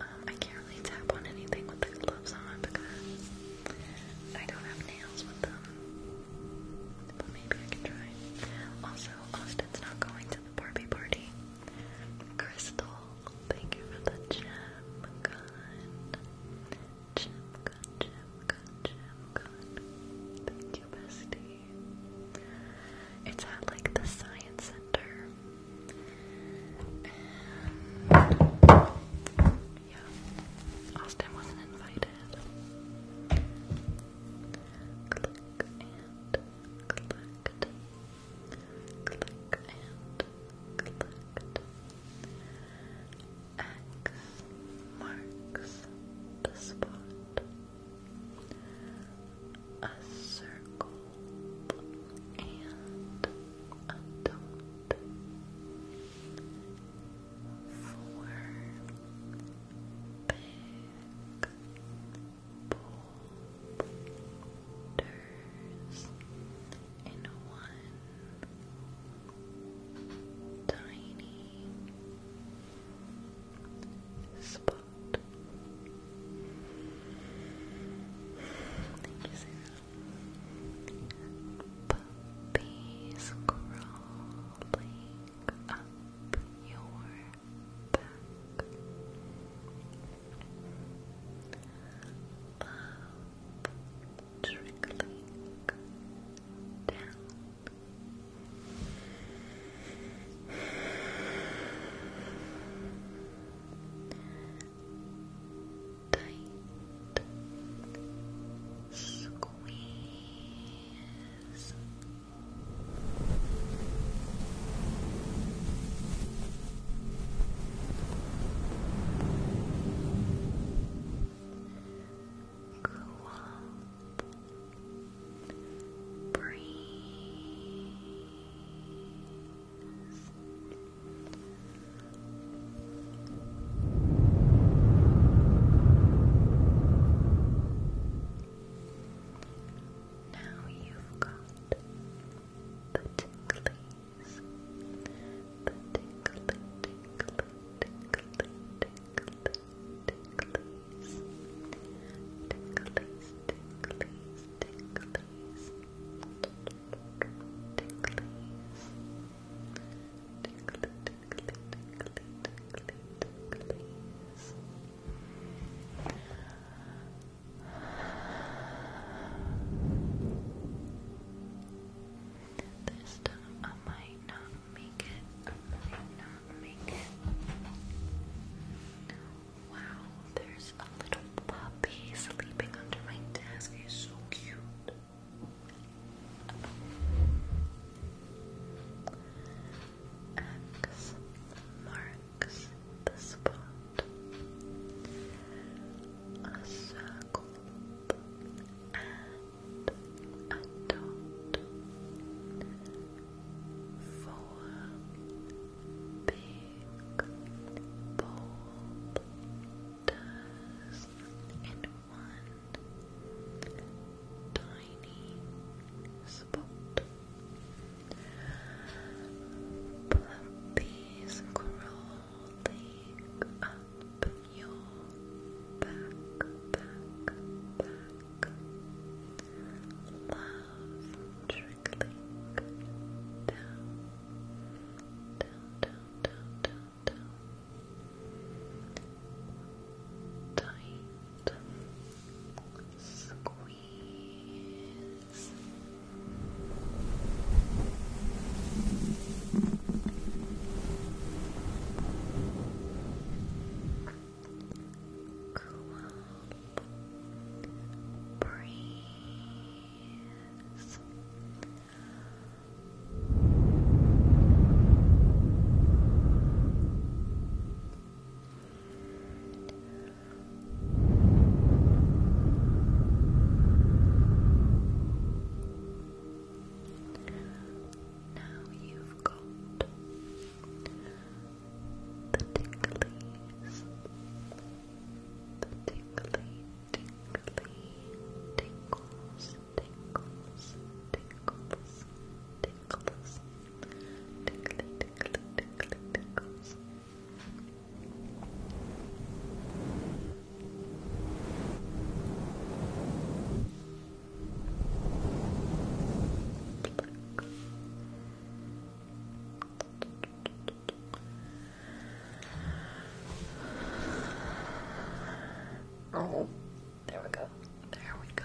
Um, I can't really tap on anything with the gloves on because I don't have nails with them. But maybe I can try. Also, Austin's not going to the Barbie party. Crystal, thank you for the gem gun. Gem gun, gem gun, gem gun. Thank you, bestie. It's at like the science center. Austin wasn't invited. Click and collect. Click and collect. X marks the spot. A circle and adult four big boulders in one tiny spot. Thank you, Sarah. Puppies crawling up your back. Love trickling down tight squeeze. Go breathe. Now you've got the ticklies, the tickly, tickly, tickly, tickly, ticklies, ticklies, ticklies, ticklies, this time I might not make it. might not make it. Wow, there's a little puppy sleeping under my desk. He's so cute. X marks the spot. A circle and a dot. Four big bulb does one tiny spot. Puppies crawling up your back, back, back. Love trickling down down, down, down, down, down. Tight. Squeeze. Cool. Breathe breeze. Now you've got the ticklies, the ticklies, tingly tingles, tingles, tingles, tingles, tingly, tingly, tingly, tingles. Oh, there we go. There we go.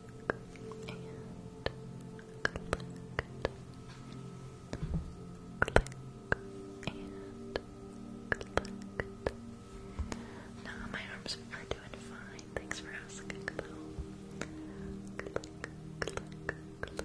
Nah, no, my arms are doing fine. Thanks for asking, though. Good. click, click, click. Click. Click.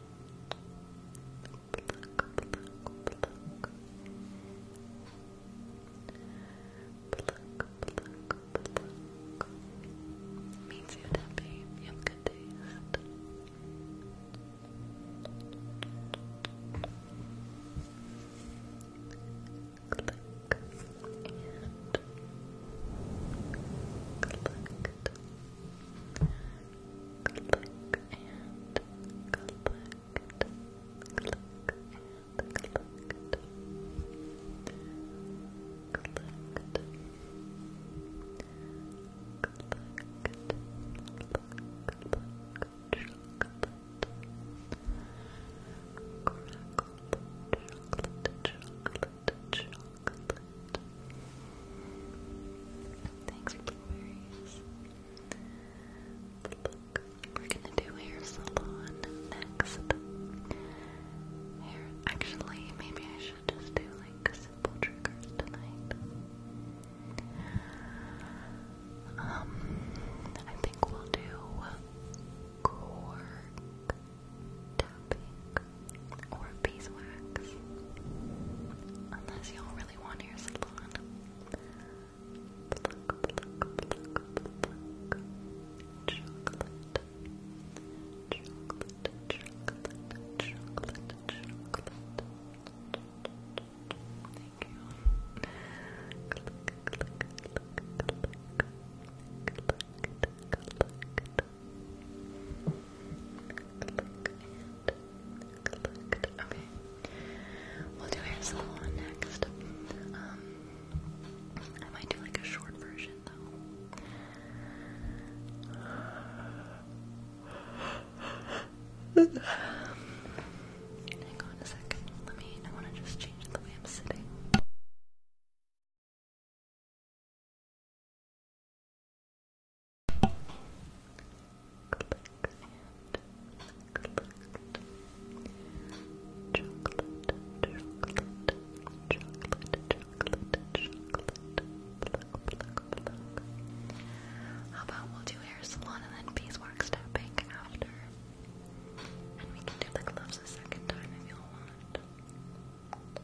Pluck, pluck, you happy, you have good taste. Click and Click and collect. Click and collect. Collect. Collect. Chocolate. Crackle. Chocolate. Chocolate. Chocolate. Thanks, for But look, we're gonna do hair salon next. Hair, actually, maybe I should just do like simple triggers tonight. Um, I think we'll do cork tapping or beeswax. Unless y'all really want hair salon. Thank you. Okay. We'll do hair salon next. Um, I might do like a short version though. Hang on a second. Let me. I want to just change the way I'm sitting. How about we do hair salon and then beeswax stepping after? And we can do the gloves a second time if you want. I'm really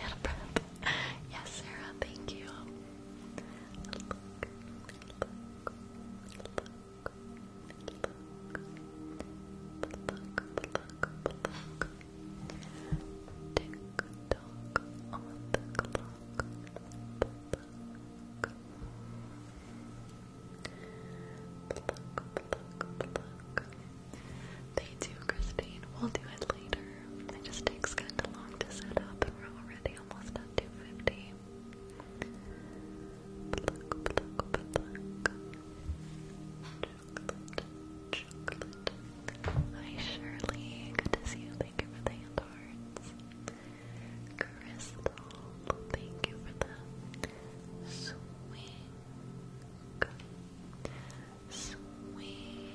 out of breath. Yes, Sarah, thank you. Tick-tock Christine. We'll do it later. It just takes kind of long to set up, and we're already almost at 250. Hi Shirley, good to see you. Thank you for the hand Crystal, thank you for the swing. Swing.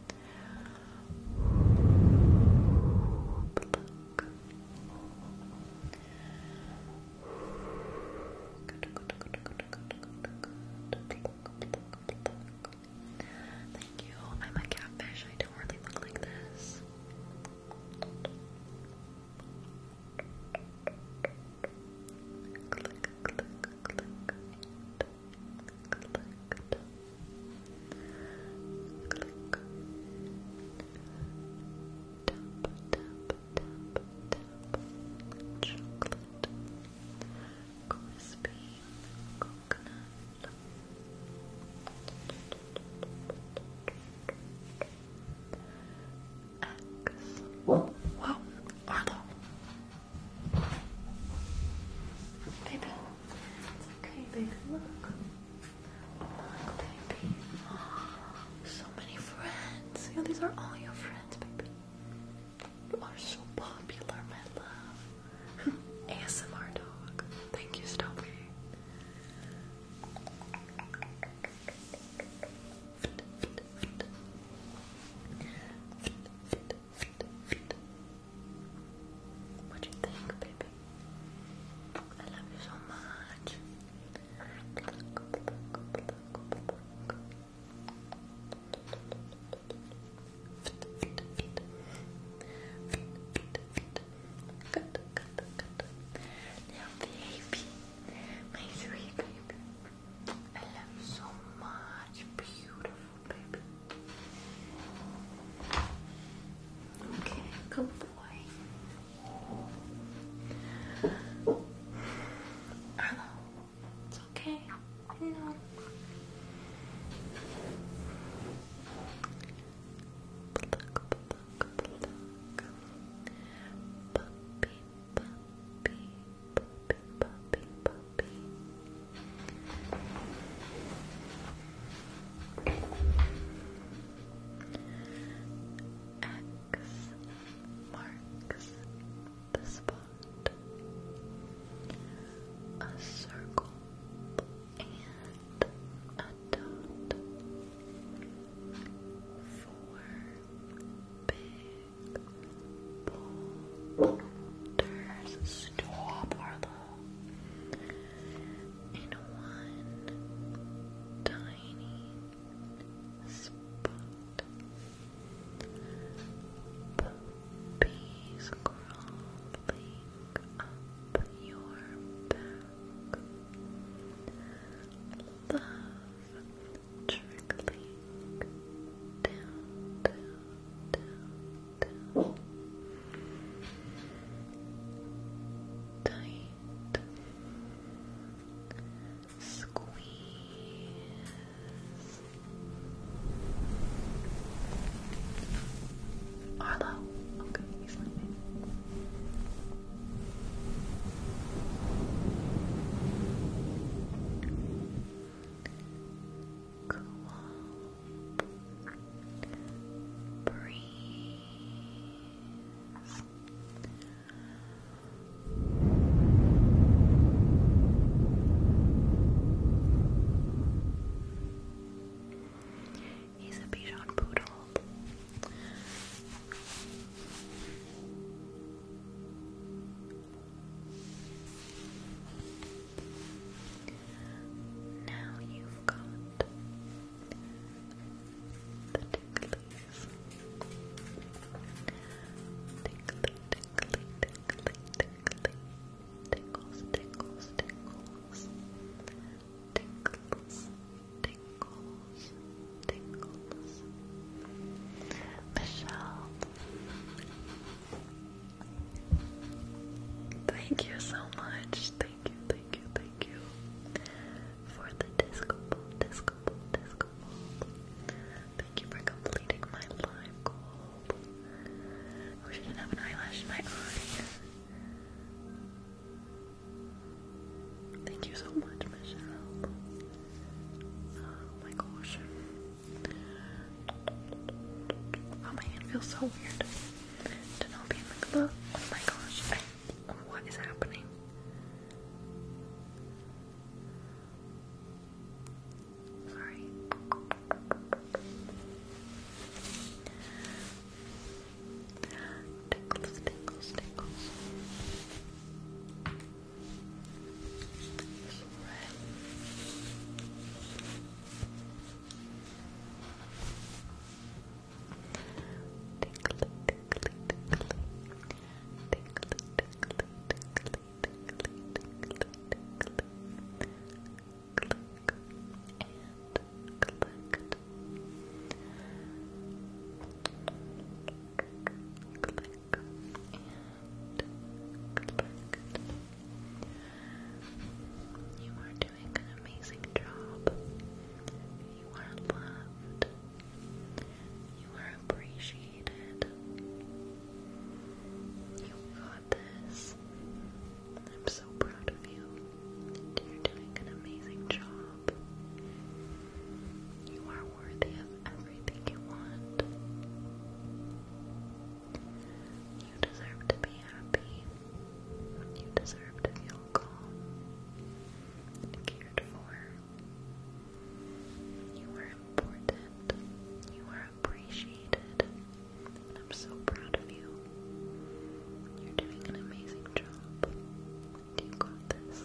Thank you. I'm a catfish. I don't really look like this clicked, clicked. Click. Tap, tap, tap, tap. Chocolate. Crispy. Coconut. X. Whoa, Arlo. Baby. It's okay, baby. Look. Look, baby. So many friends. Yeah, these are all your friends, baby. You are so popular, my love. ASMR dog. Thank you, Stumpy. What do you think, baby? I love you so much. Good, good, good. Now, baby, my sweet baby, I love you so much, beautiful. Okay, good boy. Arlo, it's okay. No. X marks the spot. A circle and a dot. Four big boulders. Stop, Arlo in one tiny spot. Puppies crawling up your back. Love trickling down down, Tight. Squeeze. Arlo. Okay, he's sleeping cool breeze. He's a Bichon Poodle. Now you've got the ticklies. Tickly, tickly, tickly, tickly. Tickles, tickles, tickles. Tickles, tickles, tickles. Michelle. Thank you so much. Thank you, thank you, thank you for the disco ball, disco ball, disco ball. Thank you for completing my live goal. I wish not have an eyelash in my eye. Thank you so much, Michelle. Oh my gosh. Oh, my hand feels so weird. Denobi and Mikla. Oh my gosh, what is happening? Sorry. Tickles, tickles, tickles. Tickly, tickly, tickly. Tickly, tickly, tickly, tickly, tickly, tickly. Click and collect. Click and collect. You are doing an amazing job. You are loved. You are appreciated. You got this. I'm so proud of you. You're doing an amazing job. You are worthy of everything you want. You deserve to be happy. You deserve to feel calm cared for. You are important. You are appreciated. And I'm so proud of you. You're doing an amazing job. You got this.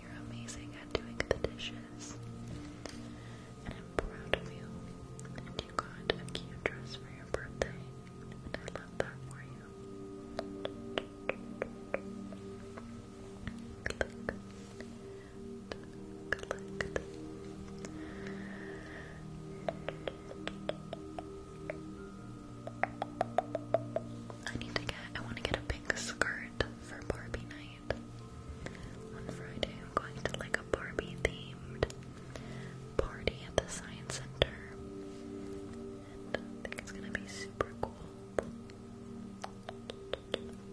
You're amazing at doing the dishes and I'm proud of you. And you got a cute dress for your birthday, and I love that for you. Click. Click. I need to get I want to get a pink skirt for Barbie night. On Friday, I'm going to like a Barbie themed party at the Science Center. And I think it's gonna be super cool.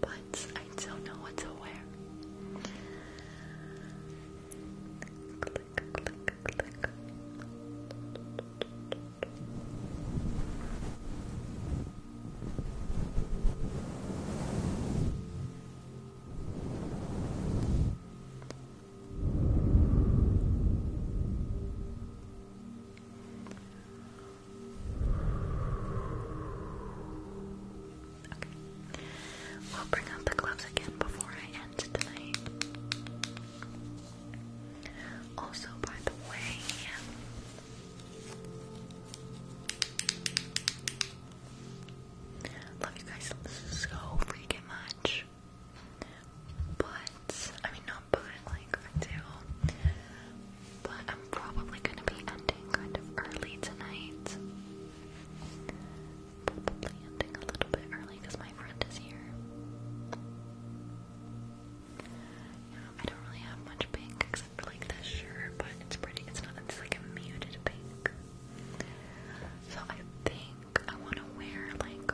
But I don't know what to wear. Okay. We'll bring out the gloves again before I end tonight. Also, by the way, Love you guys so freaking much. But, I mean, not but, like, I But I'm probably gonna be ending kind of early tonight. Probably ending a little bit early because my friend is here. You I don't really have much pink except for like this shirt, but it's pretty. It's not. It's like a muted pink. So I think I want to wear like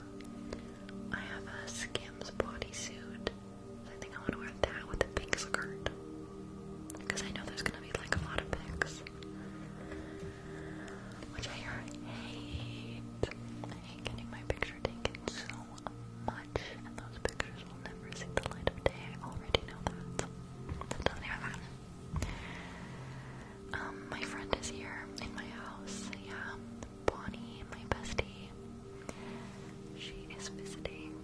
I have a Skims bodysuit. So I think I want to wear that with a pink skirt because I know there's gonna be like a lot of pics, which I hate. I hate getting my picture taken so much, and those pictures will never see the light of day. I already know that. That not even matter. Um, my friend is here in my house. Yeah, Bonnie, my bestie. She is visiting.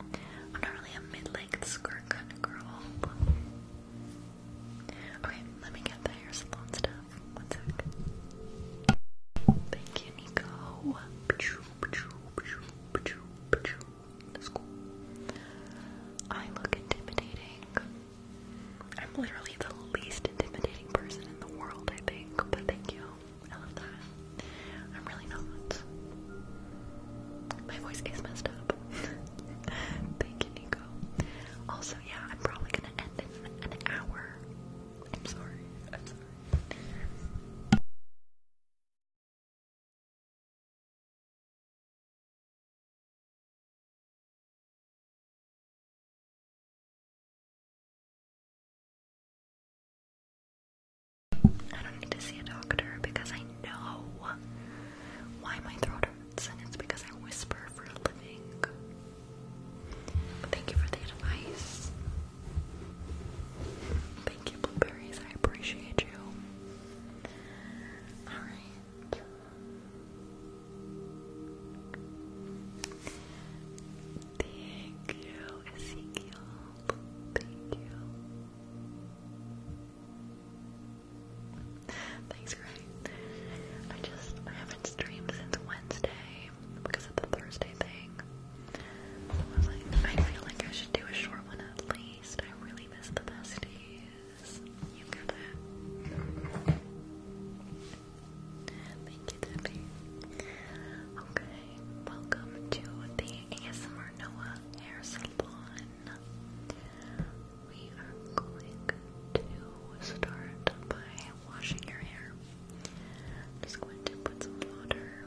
I'm not really a mid-length skirt kind of girl. Okay, let me get the hair salon stuff. One sec. Thank you, Nico. I look intimidating. I'm literally the least intimidating person in the world, I think, but thank you. I love that. I'm really not. My voice is messed up. thank you, Nico. Also, yeah, I'm probably gonna end in an hour. I'm sorry. I'm sorry. I don't need to see a doctor because I know why my throat hurts, and it's because I whisper for a living. thank you for the advice. Thank you, blueberries. I appreciate you. Alright. Thank you, Thank you. Thanks, Greg. I just I haven't streamed since Wednesday because of the Thursday thing. I was like, I feel like I should do a short one at least. I really miss the besties. You Okay, welcome to the ASMR Noah Hair Salon. We are going to start by washing your hair. just going to put some water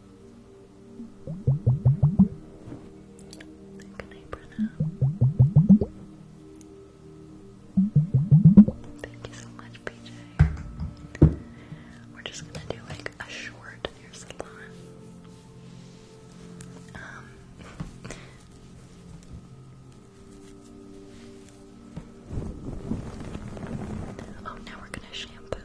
Good night, Brenna. Thank you so much, PJ. We're just gonna do like a short in salon. Um, oh, now we're gonna shampoo.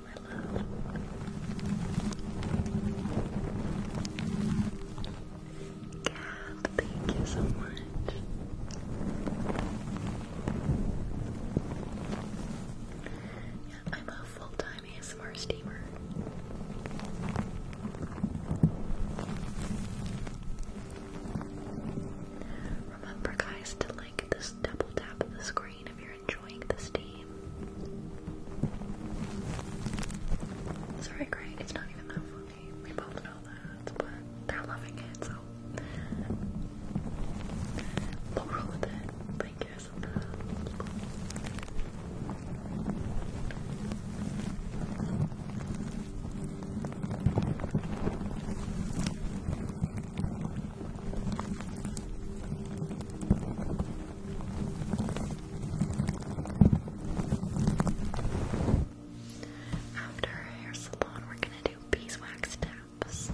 you, love. Cat, I'm a full-time ASMR steamer. Remember guys to like this double tap the screen if you're enjoying this game. it's not even that funny. We both know that, but they're loving it, so we'll roll with it. Thank you after hair salon, we're gonna do beeswax taps.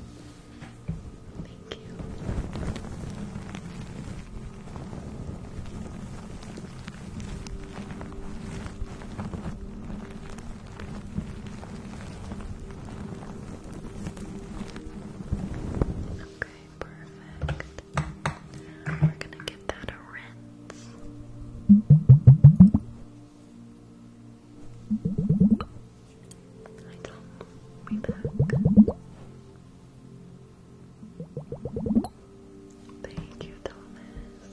Thank you. Okay perfect. We're gonna give that a rinse. I don't be back. Thank you, Thomas.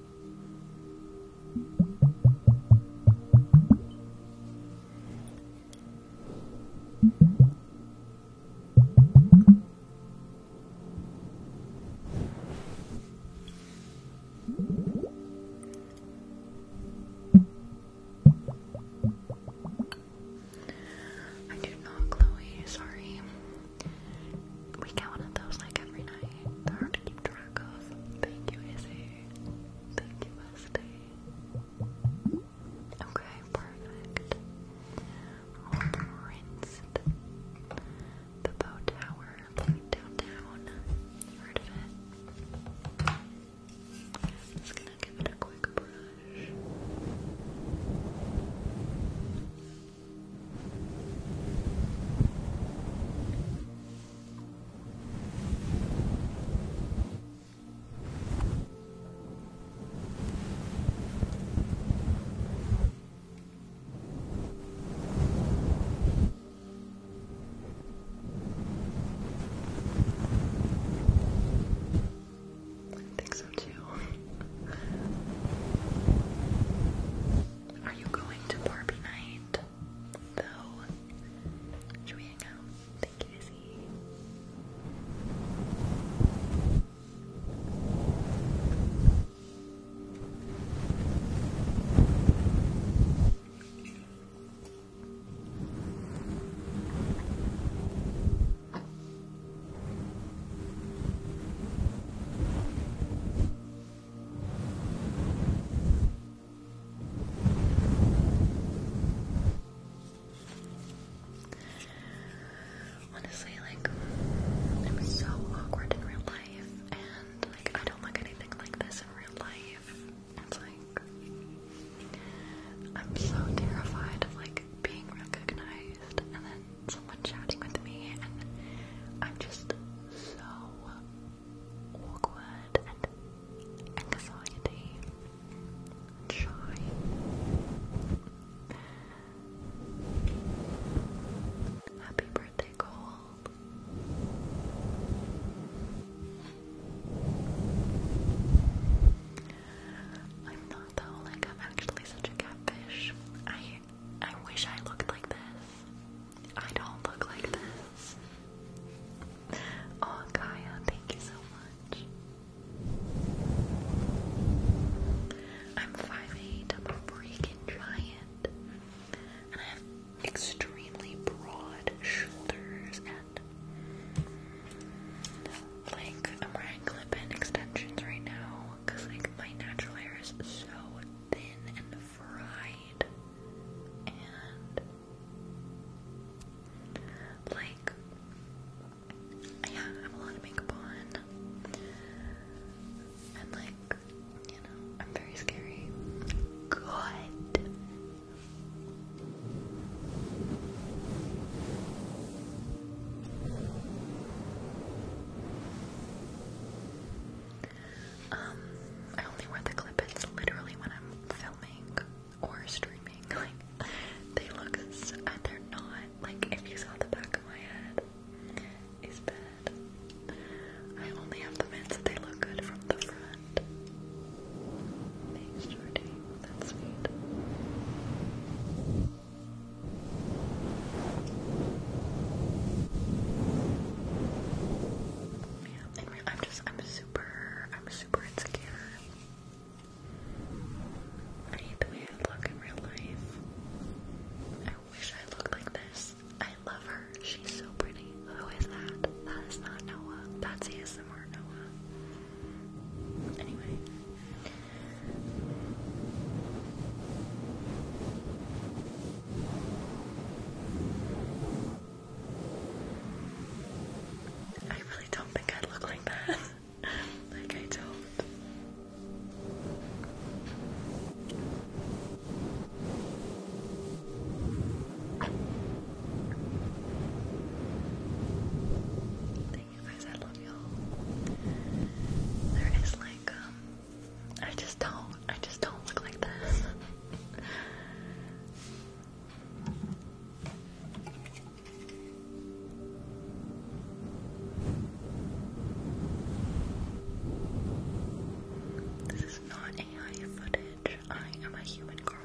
I do not, Chloe. Sorry. We get those like every night. They're hard to keep track of. Thank you, Thank you, Okay, perfect. We'll the bow tower downtown. heard of it? just gonna give it a quick brush. I think so too. Are you going to Barbie night? Though, should we hang out? Thank you, Izzy. Honestly, like, I'm so awkward in real life, and like, I don't look anything like this in real life. It's like, I'm so terrified of like being recognized and then someone chatting with me, and I'm just so awkward and anxiety shy. Happy birthday, Cole. I'm not though, like I'm actually such a catfish. I I wish I looked like this. I don't look like this. Oh, Gaia, thank you so much. I'm 5'8, I'm a freaking giant. And I have extremely broad shoulders and like I'm wearing clip-in extensions right now because like my natural hair is so thin and fried and like yeah, I have a lot of makeup on. And like, you know, I'm very scary. Good. Um, I only wear the clip-ins literally when I'm filming or streaming. Like, they look so, they're not, like, if you saw the back of my head, it's bad. I only have the in that they look good from the front. Thanks, Jordy. That's sweet. I'm just, I'm super, I'm super insecure. I hate the way I look in real life. I wish I looked like this. I love her. She's so pretty. Who is that? That is not Noah. That's ASMR Noah. Anyway. I really don't think I look like that. like, I don't. Thank you guys, I love y'all. There is like, um, I just don't. I just don't look like this. this is not AI footage. I am a human girl.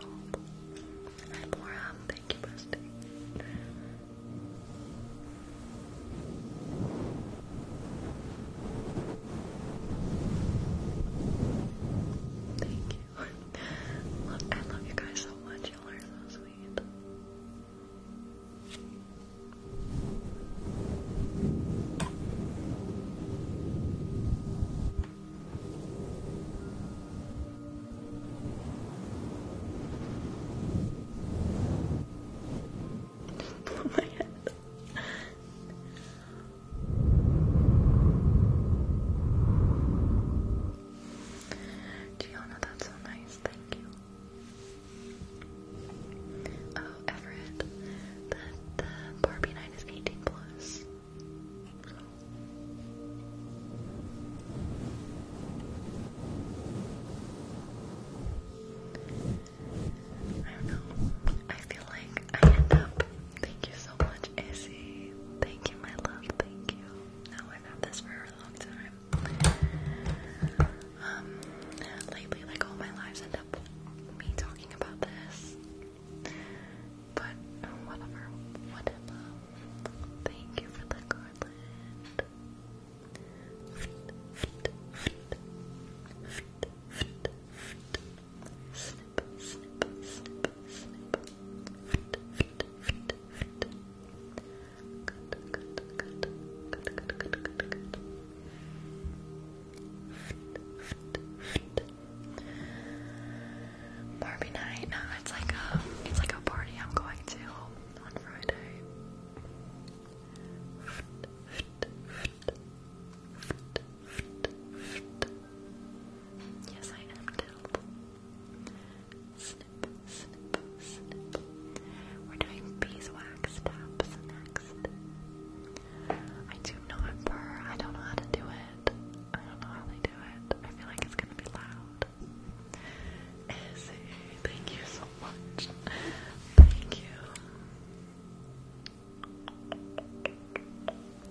Hi, Bora. Thank you, Busty. Thank you. I love you guys so much. Y'all are so sweet. blow oh my head. Gianna, that's so nice, thank you. Oh, Everett, the, the Barbie night is 18 plus. I don't know. I feel like I end up. Thank you so much, Izzy. Thank you, my love. Thank you. Now I've had this for a long time. Um, lately, like all my lives end up me talking about this. But oh, whatever, whatever. Thank you for the garland. Barbie night. No, it's like a, it's like a party I'm going to on Friday. Yes, I am Snip, snip, snip. We're doing beeswax taps next. I do not purr. I don't know how to do it. I don't know how they do it. I feel like it's gonna be loud. Izzy, thank you so much. Thank you.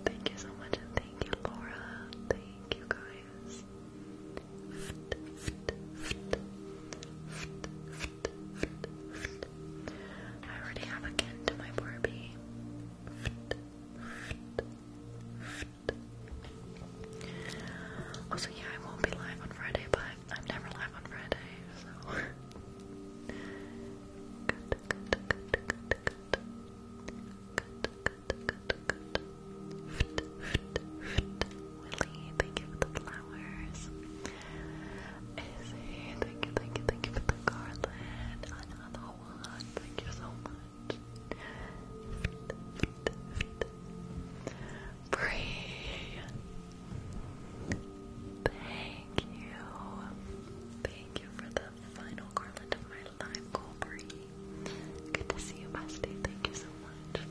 Thank you so much, and thank you, Laura. Thank you, guys. I already have a kin to my Barbie. Also, yeah, I won't be live on Friday, but I'm never live on Friday, so. Good, good, good, good, good. Good, good, good, good. Fit, fit, fit. Willie, thank you for the flowers. Izzy, thank you, thank you, thank you for the garland. Another one, thank you so much. Fit, fit, fit. Free. Thank you. Thank you for the final garland of my live Colbury. Good to see you, Busty. Thank you so much.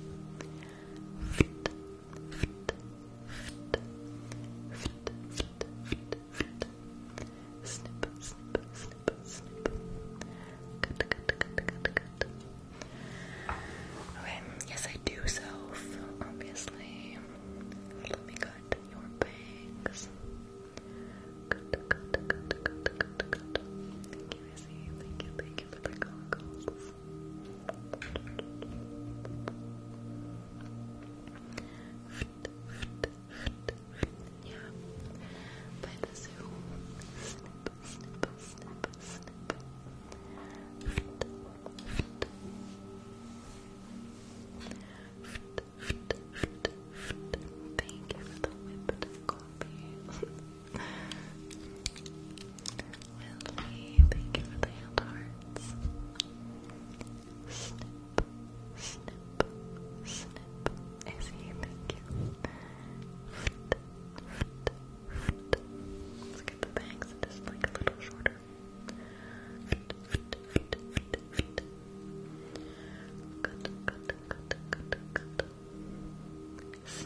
Snip, snip, snip, snip. Good, good, good, good, good. Okay, yes, I do self, obviously. Let me go your bangs. Good, good, Thank you, Thank you, thank you Thank you for the whipped coffee. thank you for the hand hearts. Snip, snip, snip. Izzy, thank you. Let's get the bangs just like a little shorter. Snip, snip, snip, snip. So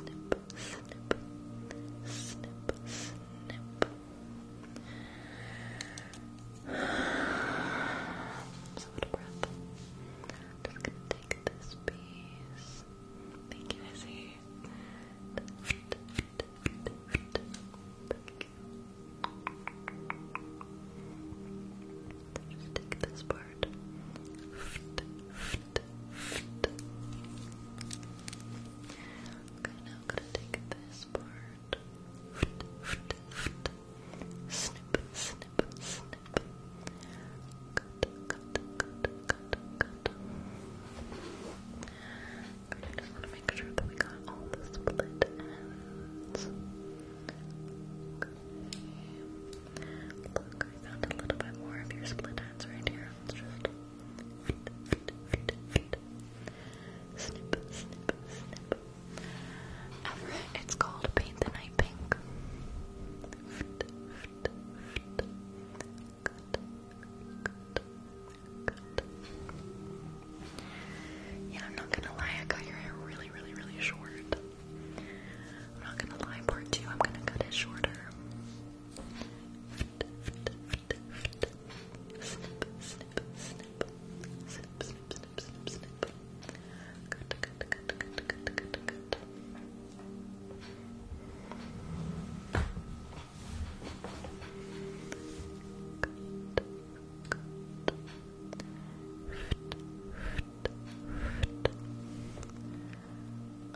out of breath. just gonna take this piece. Thank you, Izzy. Just take this part. Okay, now I'm gonna take this part. Snip, snip, snip. Cut, cut, cut, cut, cut. I just want to make sure that we got all the split ends. Okay. Look, I found a little bit more of your split ends right here. Let's just Snip, snip, snip. it's called Paint the Night Pink. Yeah, I'm not gonna lie, I got your hair really, really, really short. I'm not gonna lie, part two, I'm gonna cut it shorter.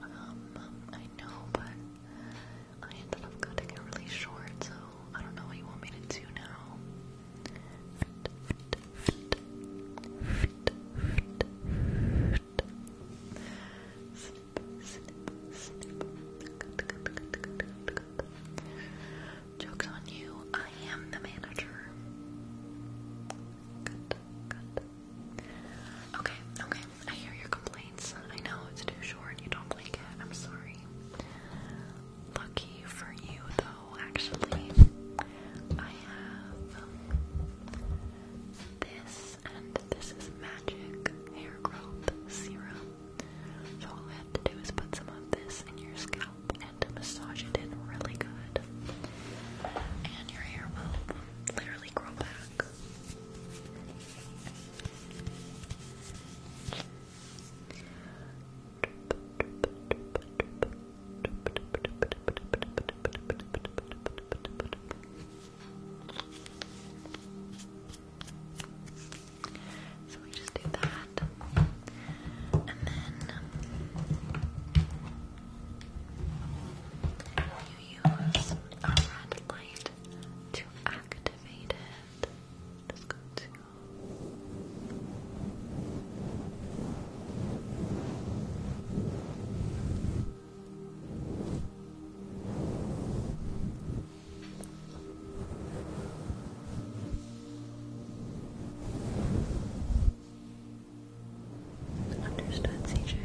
Um, I know, but I ended up cutting it really short, so I don't know what you want me to do now. Joke's on you, I am the manager. Good, good. Okay, okay, I hear your complaints. I know it's too short, you don't like it, I'm sorry. Lucky for you, though, actually, I have this, and this is Magic Hair Growth Serum. So all I have to do is put some of this in your scalp and massage it in really good. And your hair will literally grow back. So we just do that. And then use a red light to activate it. Just go to Understood, CJ.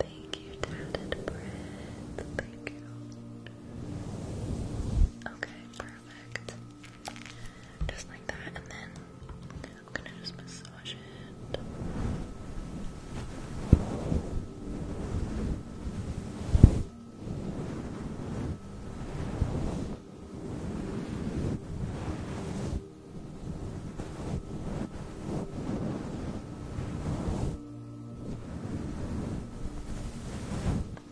Thank you, tatted bread. Thank you. Okay, perfect. Just like that, and then I'm gonna just massage it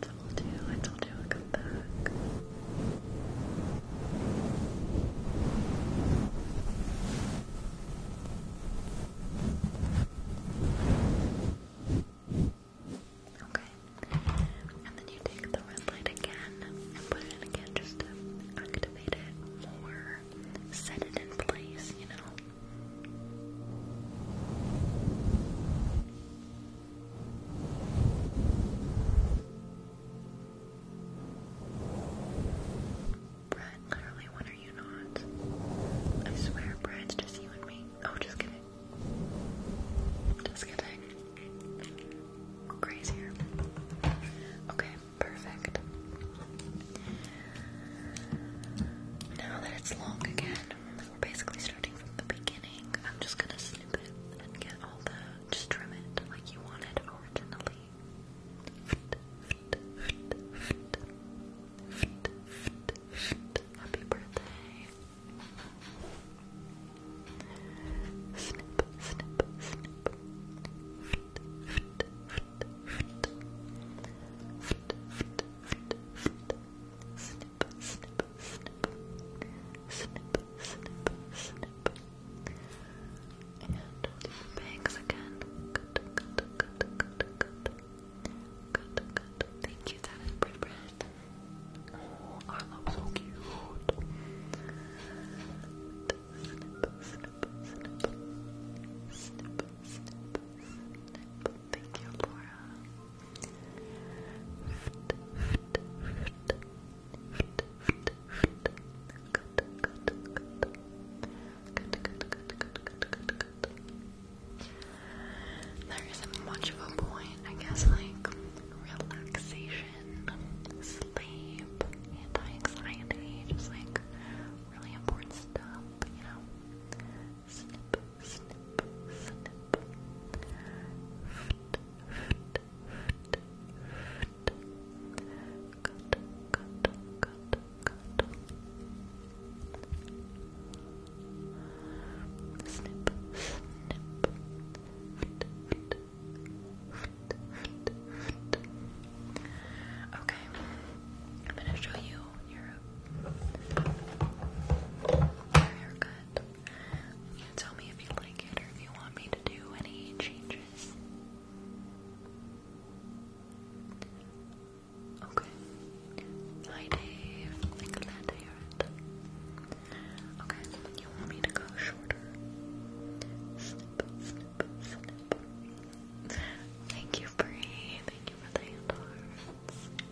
told you, I told you I'll come back. Okay. And then you take the red light again and put it in again just to activate it more, set it in place, you know? Brad, literally, when are you not? I swear, Brad's just you and me. Oh, just kidding. Just kidding. Crazier. Okay, perfect. Now that it's long again, we're basically starting from the beginning. I'm just gonna snip it and get all the just trim it like you wanted originally. Happy birthday. Snip, snip, snip snip, snip, snip, snip, snip, snip, and the bangs again. Good, good, good, good, good, good, good. Thank you, that is pretty Oh, I love so cute. Snip, snip, snip, snip, snip, snip. Thank you, There isn't much of a point, I guess, like relaxation, sleep, anti anxiety, just like really important stuff, you know? snip, snip, snip. Foot, foot, foot, foot. Cut, cut, cut, cut. Snip, snip. Foot, foot, foot, foot, Okay, I'm gonna show you your haircut. You tell me if you like it or if you want me to do any changes. Okay. Hi Dave. I'm glad to hear Okay, you want me to go shorter? Thank you, Bree. Thank you for the hand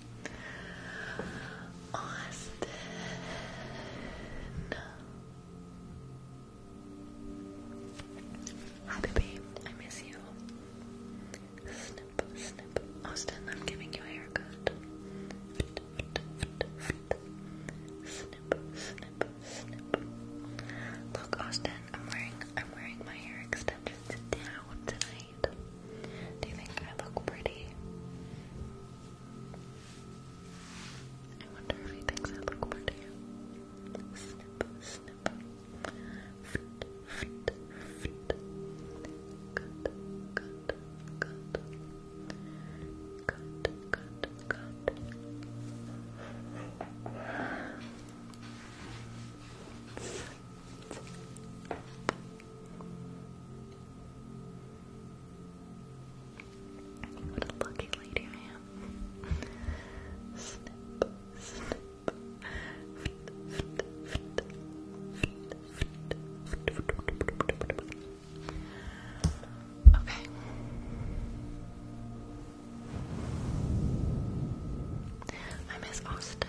Austin. Hi, baby. I miss you. Snip, snip. Austin, I'm giving you a haircut. Snip, snip, snip. Look, Austin, I'm wearing I'm wearing my hair extensions down tonight. Do you think I look pretty? I wonder if he thinks I look pretty. Snip, snip. Fit, fit, fit. Good, good, good. Good, good, good. What a lucky lady I Okay. I miss Austin.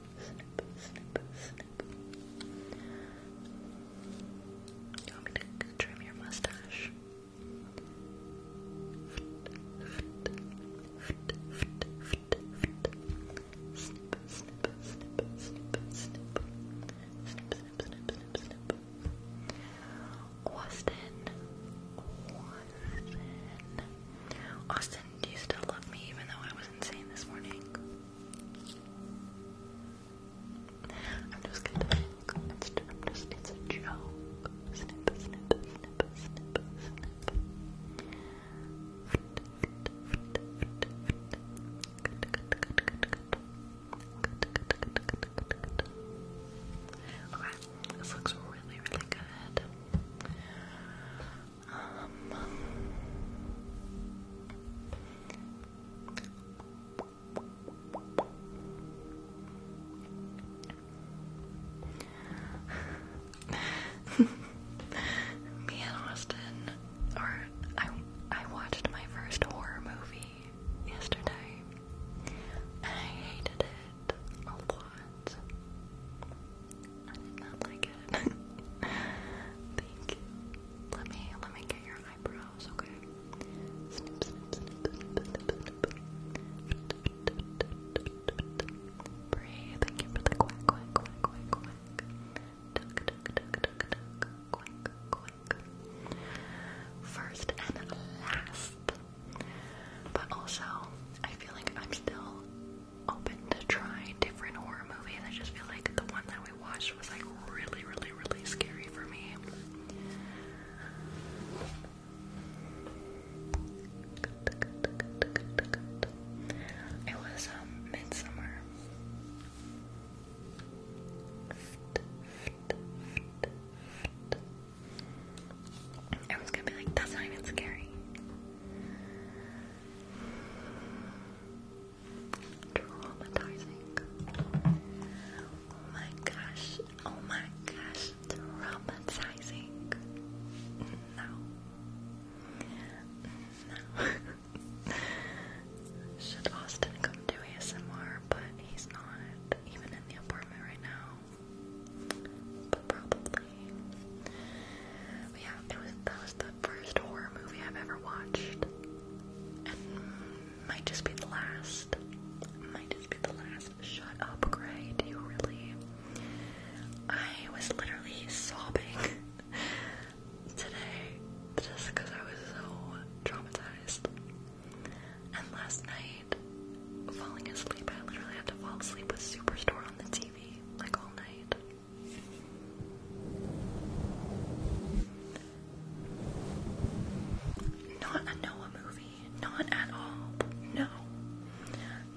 You want me to trim your mustache? Snip, snip, snip, snip, snip. Snip, snip, snip, snip, snip. Austin. Austin. Austin, do you still love me even though I was insane this morning? I'm just gonna look. It's, I'm just, it's a joke. Snip, snip, snip, snip, snip. Okay, this looks really, really good. Me and Austin, or I, I watched my first horror movie yesterday, I hated it a lot. I did not like it. Thank you. Let me let me get your eyebrows, okay? Snip, thank you for the quack, quack, quack, quack, quack. Duck, duck, duck, duck, duck, quack, quack. First and last. But also, I feel like I'm still open to try different horror movies. I just feel like the one that we I was like really, really, really scary for me. It was um, midsummer. I gonna be like, that's not even scary. Traumatizing. Oh my gosh. Oh my gosh. Traumatizing. No. No. Should Austin come do ASMR? But he's not even in the apartment right now. But probably yeah, it was that was the first horror movie I've ever watched, might just be the last. Might just be the last. Shut up, Gray. Do you really? I was literally sobbing today just because I was so traumatized. And last night, falling asleep, I literally had to fall asleep with Superstore on the TV like all night. Not a Noah movie. Not at all. No.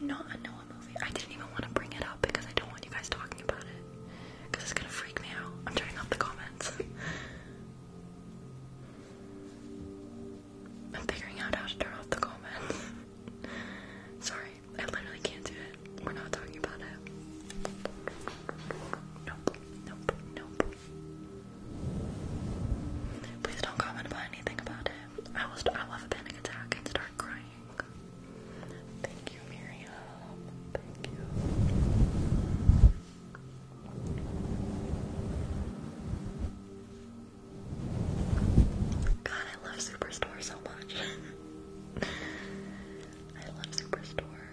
Not a Noah movie. I didn't even want to bring it up because I don't want you guys talking about it. Because it's going to freak me out. I'm turning off the comments. I'm figuring out how to turn off the comments. Sorry. I literally can't do it. We're not talking about it. Nope, nope, nope. Please don't comment about anything about it. I will, I will have a panic attack and start crying. Thank you, Miriam. Thank you. God, I love Superstore so much. I love Superstore.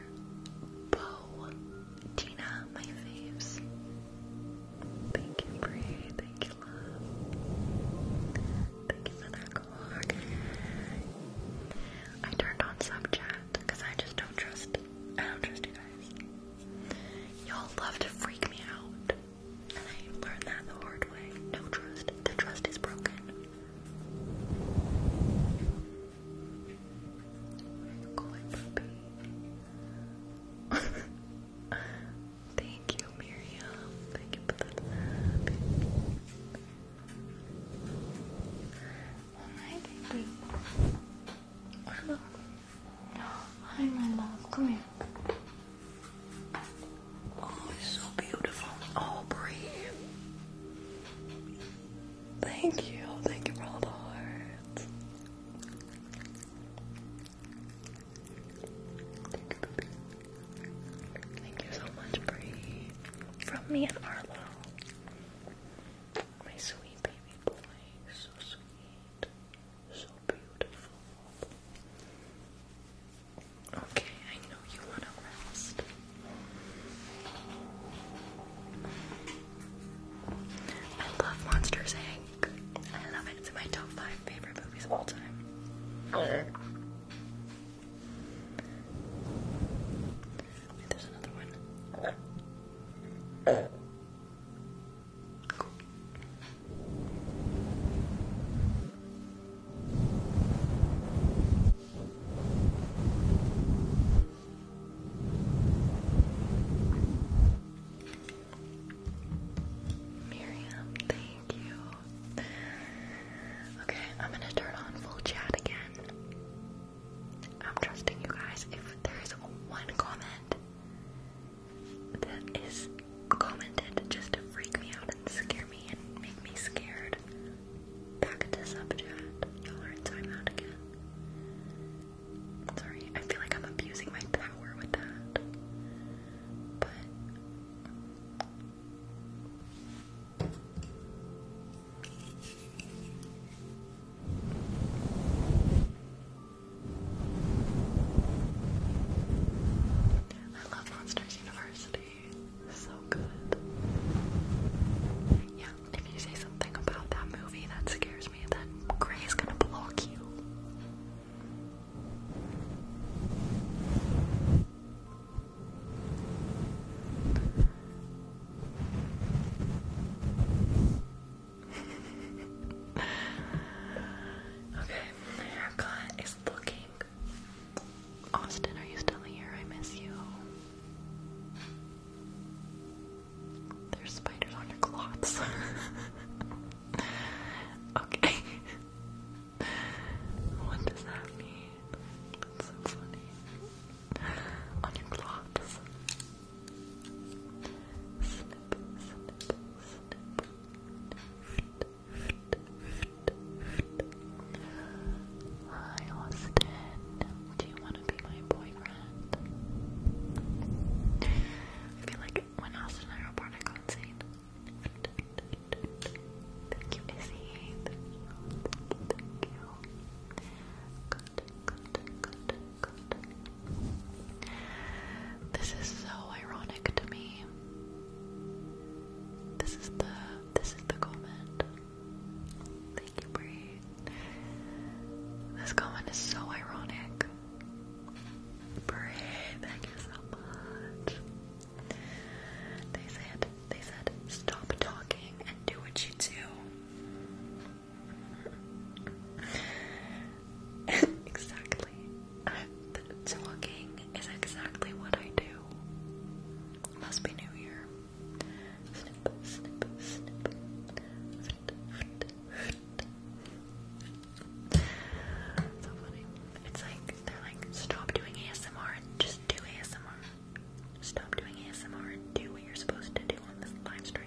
Bo, Tina, my faves. Thank you, Brie. Thank you, love. Thank you for that clock. I turned on Snapchat because I just don't trust. I don't trust you guys. Y'all love to freak me out, and I learned that the hard way. No trust. The trust is broken. Thank you, Miriam. Thank you for that love. Hi, baby. Hi, my love. Come here. Oh, it's so beautiful. Oh, Thank you. Thank you for all the hearts. Thank you, Thank you so much, Bree. From me and Arlo. My sweet baby boy. So sweet. So beautiful. Okay, I know you want to rest. I love Monsters Inc. I love it. It's my top five favorite movies of all time. there's another one. Miriam, thank you. Okay, I'm gonna turn on full chat again. I'm trusting you guys. If there is one comment that is commented just to freak me out and scare me and make me scared, Back to subchat. Y'all are in timeout again. Sorry, I feel like I'm abusing my power with that. But. I love Monsters University. So good. Yeah, if you say something about that movie that scares me, then Gray's gonna block you. okay, my haircut is looking Austin, are you still here? I miss you. There's spiders on your cloths. okay. what does that mean? That's so funny. On your cloths. Hi Austin, do you want to be my boyfriend? I feel like when Austin and I were born, I got insane. Thank you, Izzy. Thank you, This is so ironic to me. This is the this is the comment. Thank you, Bree. This comment is so ironic. Bree, thank you so much. They said, they said, stop talking and do what you do. exactly. talking is exactly what I do. Must be New Year. It's like they're like, stop doing ASMR and just do ASMR. Stop doing ASMR and do what you're supposed to do on this live stream.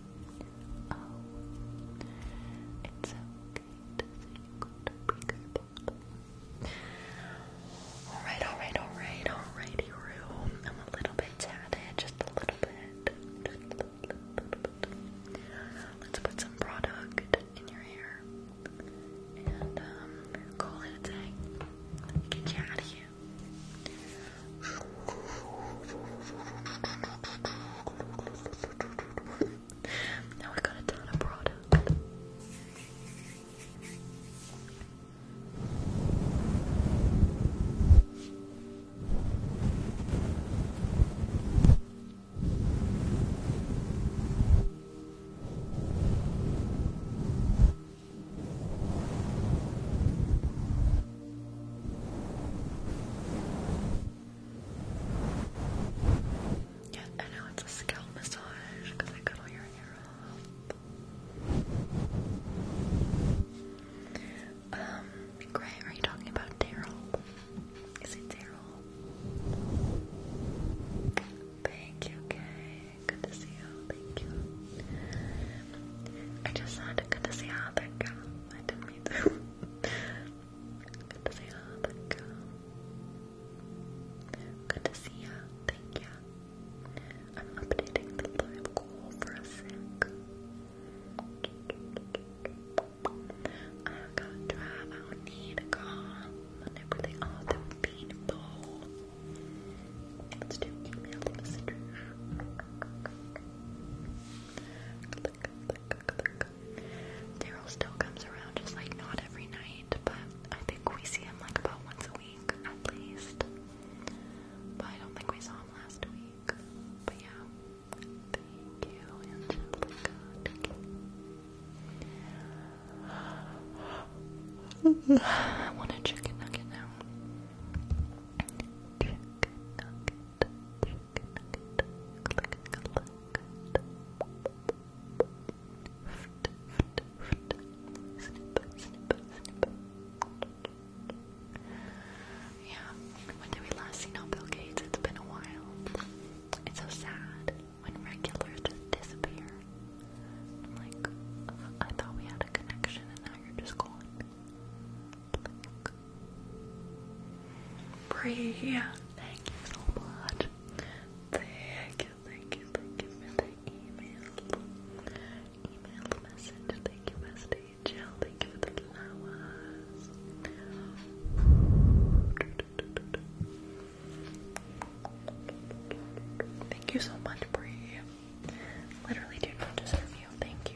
Oh, it's okay to say you got a bigger bottle. Alright, alright, alright, alrighty, room. I'm a little bit tatted, just a little bit. Let's put some product in your hair and call it a day. Get you out of here. Now we got a ton of product. Now yeah, and now it's a scalp massage because I cut all your hair off. Um, Gray, are you talking about Daryl? Is it Daryl? Thank you, Gay. Good to see you. Thank you. I just had good to see you. Thank you. I didn't mean to. Good to see ya. Thank you. Good to see ya. Thank ya. I'm updating the live goal for a sec. i got drive. I do need a car. And everything. Oh, the bean Let's do email messages. Daryl still comes around just like not every night, but I think we see him like about once a week at least. But I don't think we saw him last week. But yeah. Thank you, I want a chicken nugget now. Yeah, when did we last see no Bill Gates? It's been a while. It's so sad when regulars just disappear. I'm like, I thought we had a connection and now you're just gone. Bree, thank you so much. Thank you, thank you, thank you for the email. Email message. Thank you, bestie. Jill, thank you for the flowers. Thank you so much, Bree. Literally do not deserve you. Thank you.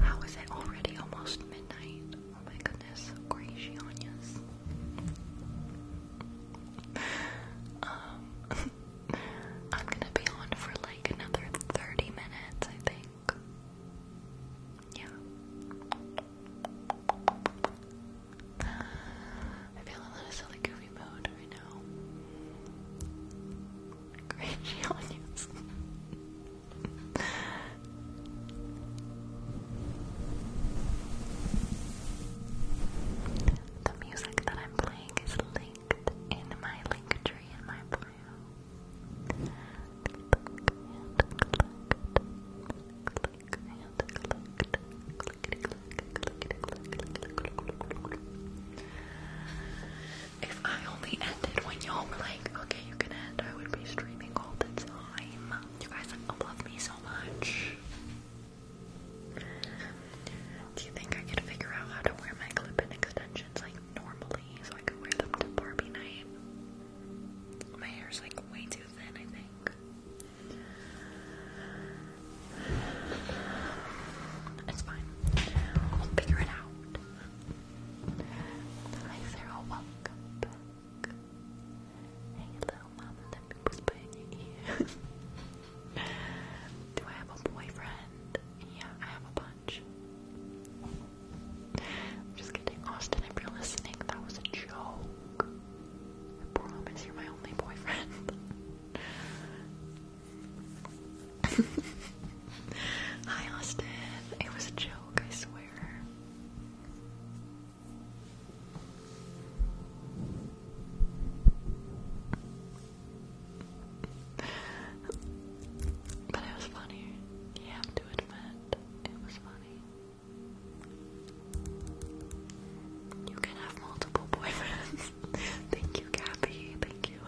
How is it already almost midnight? Oh my goodness, gracious. Um, I'm gonna be on for like another 30 minutes, I think back. Yeah. I feel a little silly goofy mode right now. Great genius. the music that I'm playing is linked in my link tree in my bio. If I only ended when y'all were like, okay, you can end, I would be streaming all the time. You guys love me so much. Do you think I could figure out how to wear my clip-in extensions like normally I could wear them to Barbie night. My hair's like way too thin, I think. It's fine. We'll figure it out. Hi Sarah, welcome Hey little mama, let me whisper in your ear. Do I have a boyfriend? Yeah, I have a I'm just kidding, Austin, if you're listening, that was a joke. I promise you're my only boyfriend. Hi, Austin. It was a joke, I swear. But it was funny. You to admit, it was funny. You can have multiple boyfriends. Thank you, Gabby. Thank you.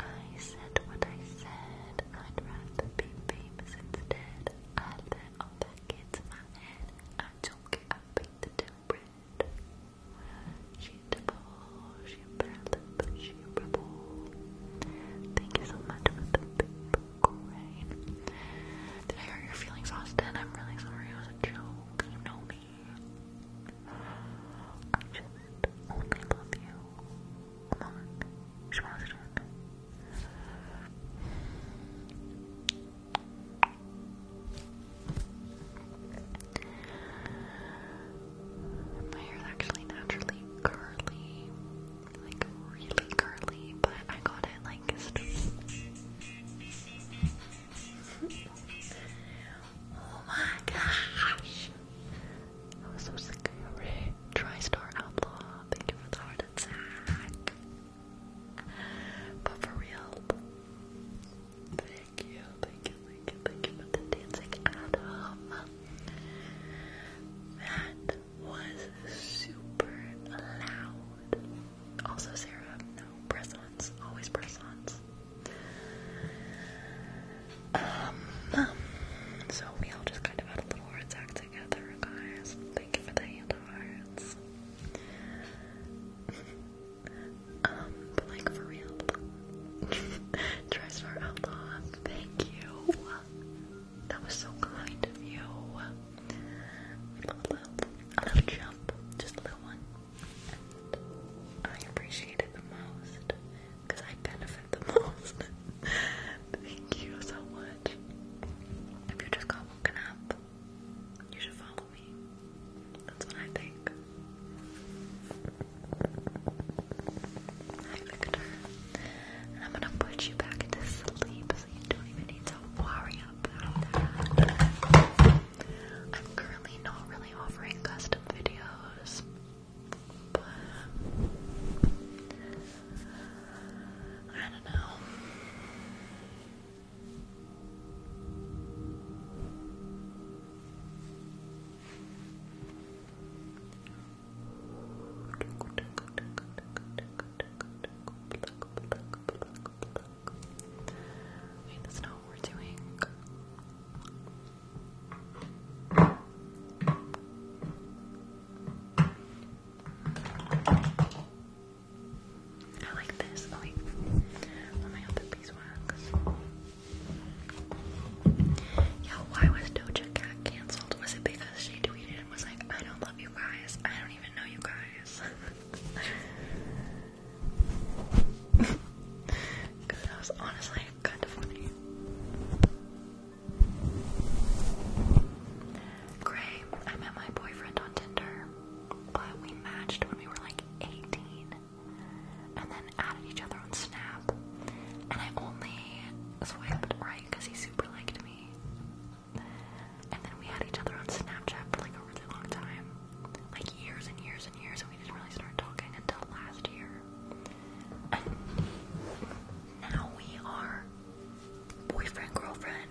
I said what I said. I'd rather be famous instead. I let all that get in my head. I don't get I beat the temper Sheetable, sheeperlip, sheeperable. Thank you so much for the paper crane. Did I hurt your feelings, Austin? I'm really sorry. It was a joke. You know me. I just only love you. Come on. Schmaster. My hair is actually naturally curly, like really curly, but I got it like. oh my gosh! so scary. TriStar Outlaw, thank you for the heart attack. But for real, thank you, thank you, thank you, thank you for the dancing, Adam. That was super loud. Also, Sarah, no press-ons, always press-ons. Um, so we all just kind of had a little heart attack together, guys. Thank you for the hand hearts. Um, like for real. Dress for Thank you. That was so kind of you. A little, jump, just a little one. I appreciate the most because I benefit the most. Thank you so much. If you just got woken up, I am gonna put you back into sleep so you don't even need to worry about that. I'm currently not really offering custom videos, but I don't know. Wait, that's not what we're doing. I like this. Oh, why was Doja cancelled? Was it because she tweeted and was like, I don't love you guys, I don't even know you guys? Because that was honestly kind of funny. Gray, I met my boyfriend on Tinder but we matched when we were like 18 and then added each other on Snap. And I only swiped right because he super liked me. And then we had each other on Snapchat for like a really long time like years and years and years, and we didn't really start talking until last year. And now we are boyfriend, girlfriend.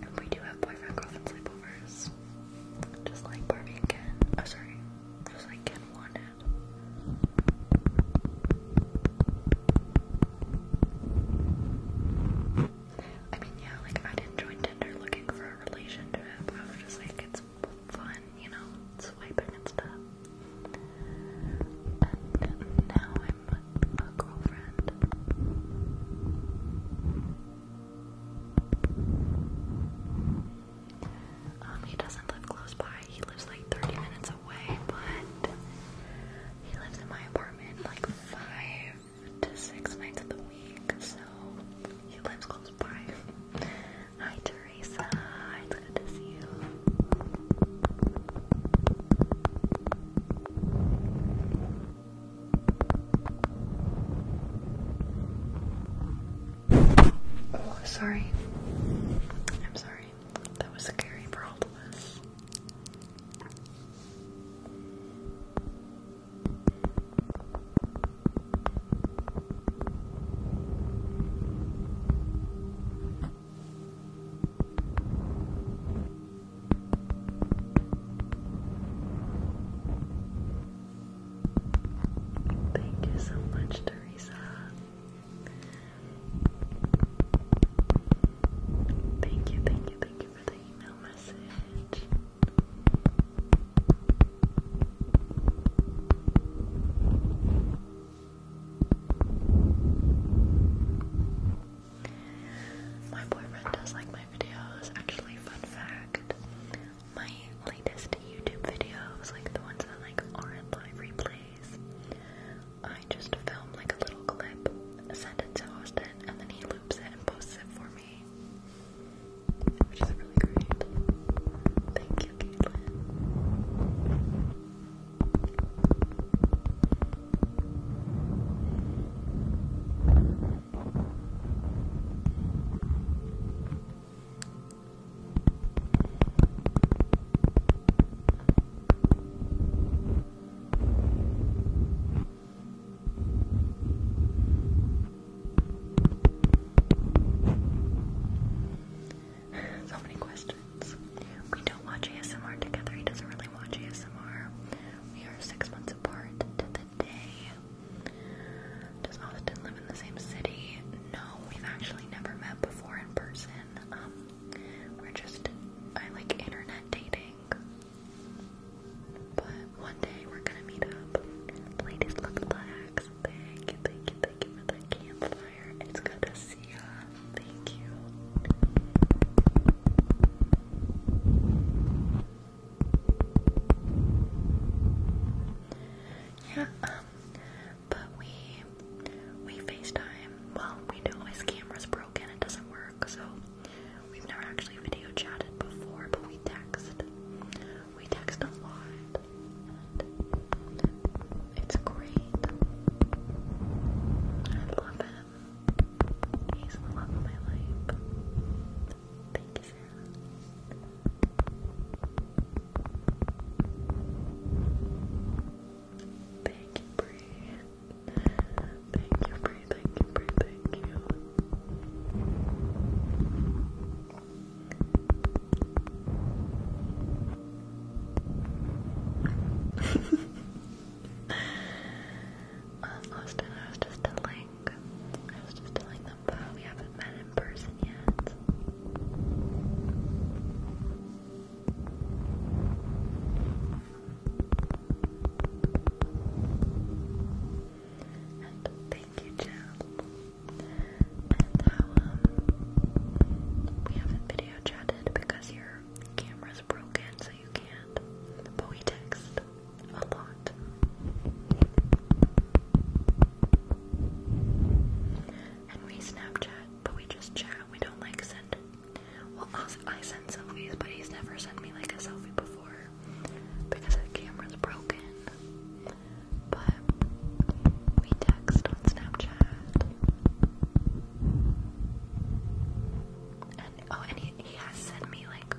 And we do have boyfriend girlfriend sleepovers. Just like Barbie and Ken. Oh, sorry. Just like Ken wanted. I mean, yeah, like I didn't join Tinder looking for a relationship. I was just like, it's fun, you know, swiping and stuff. And now um, he doesn't live close by. He lives like 30 minutes away, but he lives in my apartment like five to six nights of the week, so he lives close by. Hi, Teresa. It's good to see you. Oh, sorry. I'm sorry. That was Gary Broadless. Thank you so much, Teresa. Thank you, thank you, thank you for the email message. My boyfriend does like my videos. Actually, fun fact, my latest YouTube videos, like the ones that like aren't live replays, I just film like a little clip, send it to Austin, and then he loops it and posts it for me. Which is really great. Thank you, Caitlin so many questions. We don't watch ASMR together. He doesn't really watch ASMR. We are six months does Austin live in the same city? No, we've actually never met before in person. Um, we're just, I like internet dating. But one day we're gonna meet up. Ladies, look at thank you, thank you for the campfire. It's good to see ya. Thank you. Yeah, um, but we we FaceTime. Well, we know his camera's broken; it doesn't work, so we've never actually video chatted before. But we text. We text a lot. it's great. I love it. He's the love of my life. Thank you, Sarah. Thank you, Bree. Thank you, Bree. Thank you, Bree. Thank you. Austin, I was just telling, I was just telling them that we haven't met in person yet. And thank you, Jill. And how um we haven't video chatted because your camera's broken, you can't. But we text a lot. And we Snapchat, but we just chat. We don't like send. Well, I send selfies, but he's never sent me like a selfie before because the camera's broken. But we text on Snapchat. And oh, and he has sent me like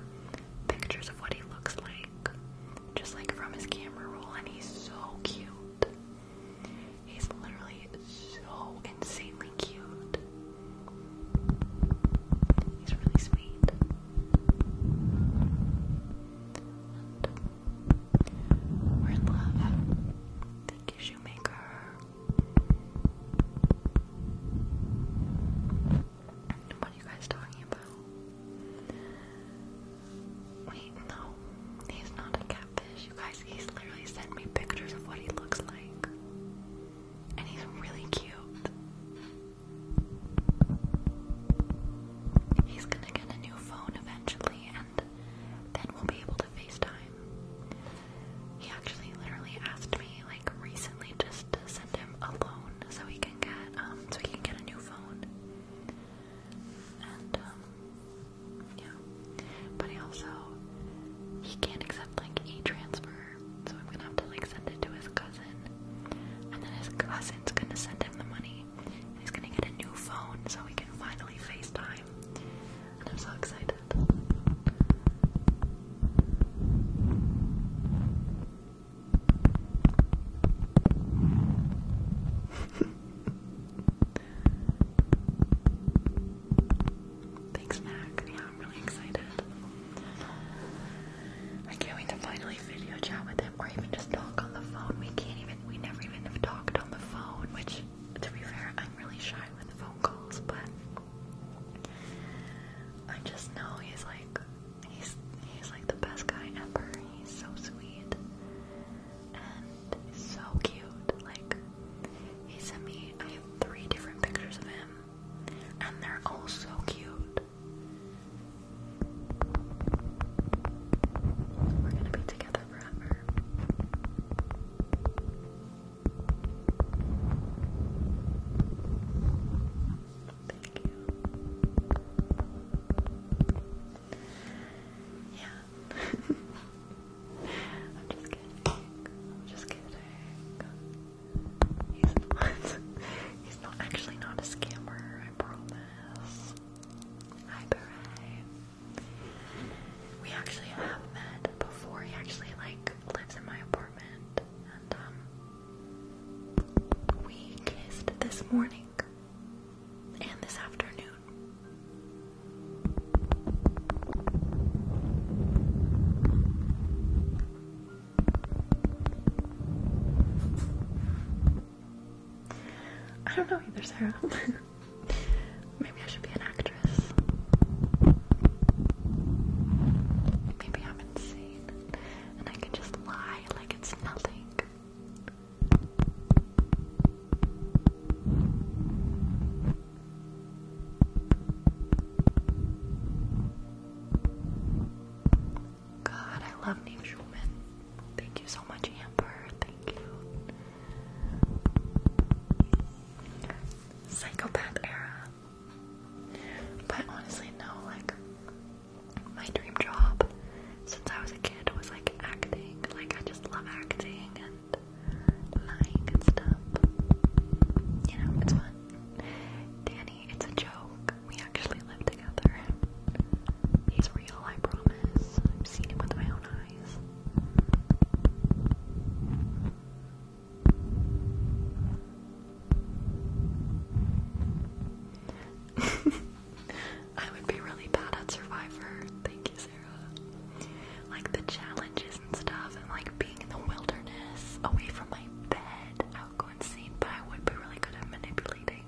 pictures of what he looks like, just like from his camera roll, and he's so cute. He's literally so insanely cute. He's really sweet. we're in love. Thank you, Shoemaker. What are you guys talking about? Wait, no. He's not a catfish. You guys, he's literally sent me pictures of what he looks like. And he's really cute. He's gonna get a new phone eventually, and then we'll be able to FaceTime. He actually literally asked me me like recently just to send him a loan so he can get um so he can get a new phone. And um yeah. But he also he can't accept like e transfer, so I'm gonna have to like send it to his cousin. And then his cousin's gonna send him the money. And he's gonna get a new phone so we can finally FaceTime. And I'm so excited. Thanks, Mac. Yeah, I'm really excited. I can't wait to finally video chat with him or even just talk on the phone. We can't even, we never even have talked on the phone, which, to be fair, I'm really shy with phone calls, but I just know he's like he's he's like the best guy ever. He's so sweet and so cute. Like he sent me I have three different pictures of him and they're all so cute. We're gonna be together forever. Thank you. Yeah. I'm just kidding. I'm just kidding. He's not. He's not actually not a scammer. I promise. Hi, Beret. We actually have met before. He actually like lives in my apartment, we kissed this morning and this afternoon. I don't know either, Sarah. Maybe I should be an actress. Maybe I'm insane and I can just lie like it's nothing. God, I love Neil Schulman. Thank you so much, Amber. Thank you. Psychopath era. But honestly, no, like, my dream job since I was a kid was like acting. Like, I just love acting and lying and stuff. You know, it's fun. Danny, it's a joke. We actually live together. He's real, I promise. I've seen him with my own eyes. I would be really bad at Survivor. Thank you, Sarah. Like the challenges and stuff, and like being in the wilderness, away from my bed. I would go insane, I would be really good at manipulating.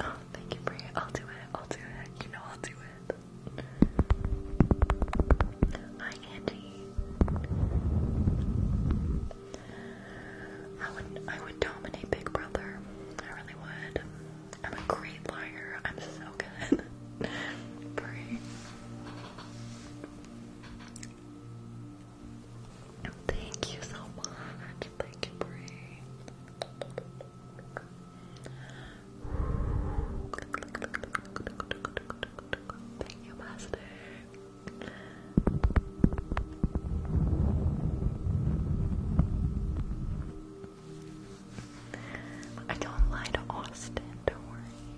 Oh, thank you, Bria. I'll do it. I'll do it. You know I'll do it. I candy. I would I would dominate Big Brother. I really would. I'm a great liar. I'm so good. Brie. Thank you so much. Thank you, Brie. Thank you, Master. I don't lie to Austin, don't worry.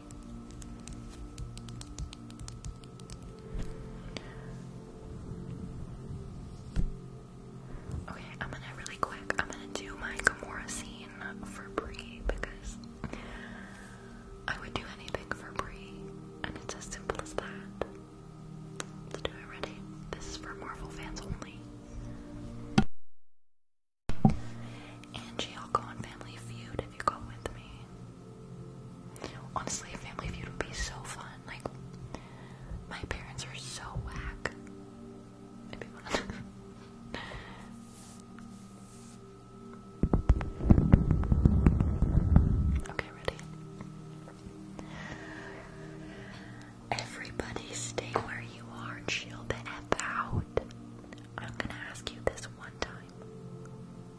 Okay, I'm gonna really quick, I'm gonna do my Gamora scene for Bree because I would do anything for Brie, and it's as simple as that. Let's do it. Ready? This is for Marvel fans only. Angie, I'll go on Family Feud if you go with me. Honestly, Family Feud would be so fun. Like, my parents are so whack. Okay, ready? Everybody stay where you are, chill the F out. I'm gonna ask you this one time.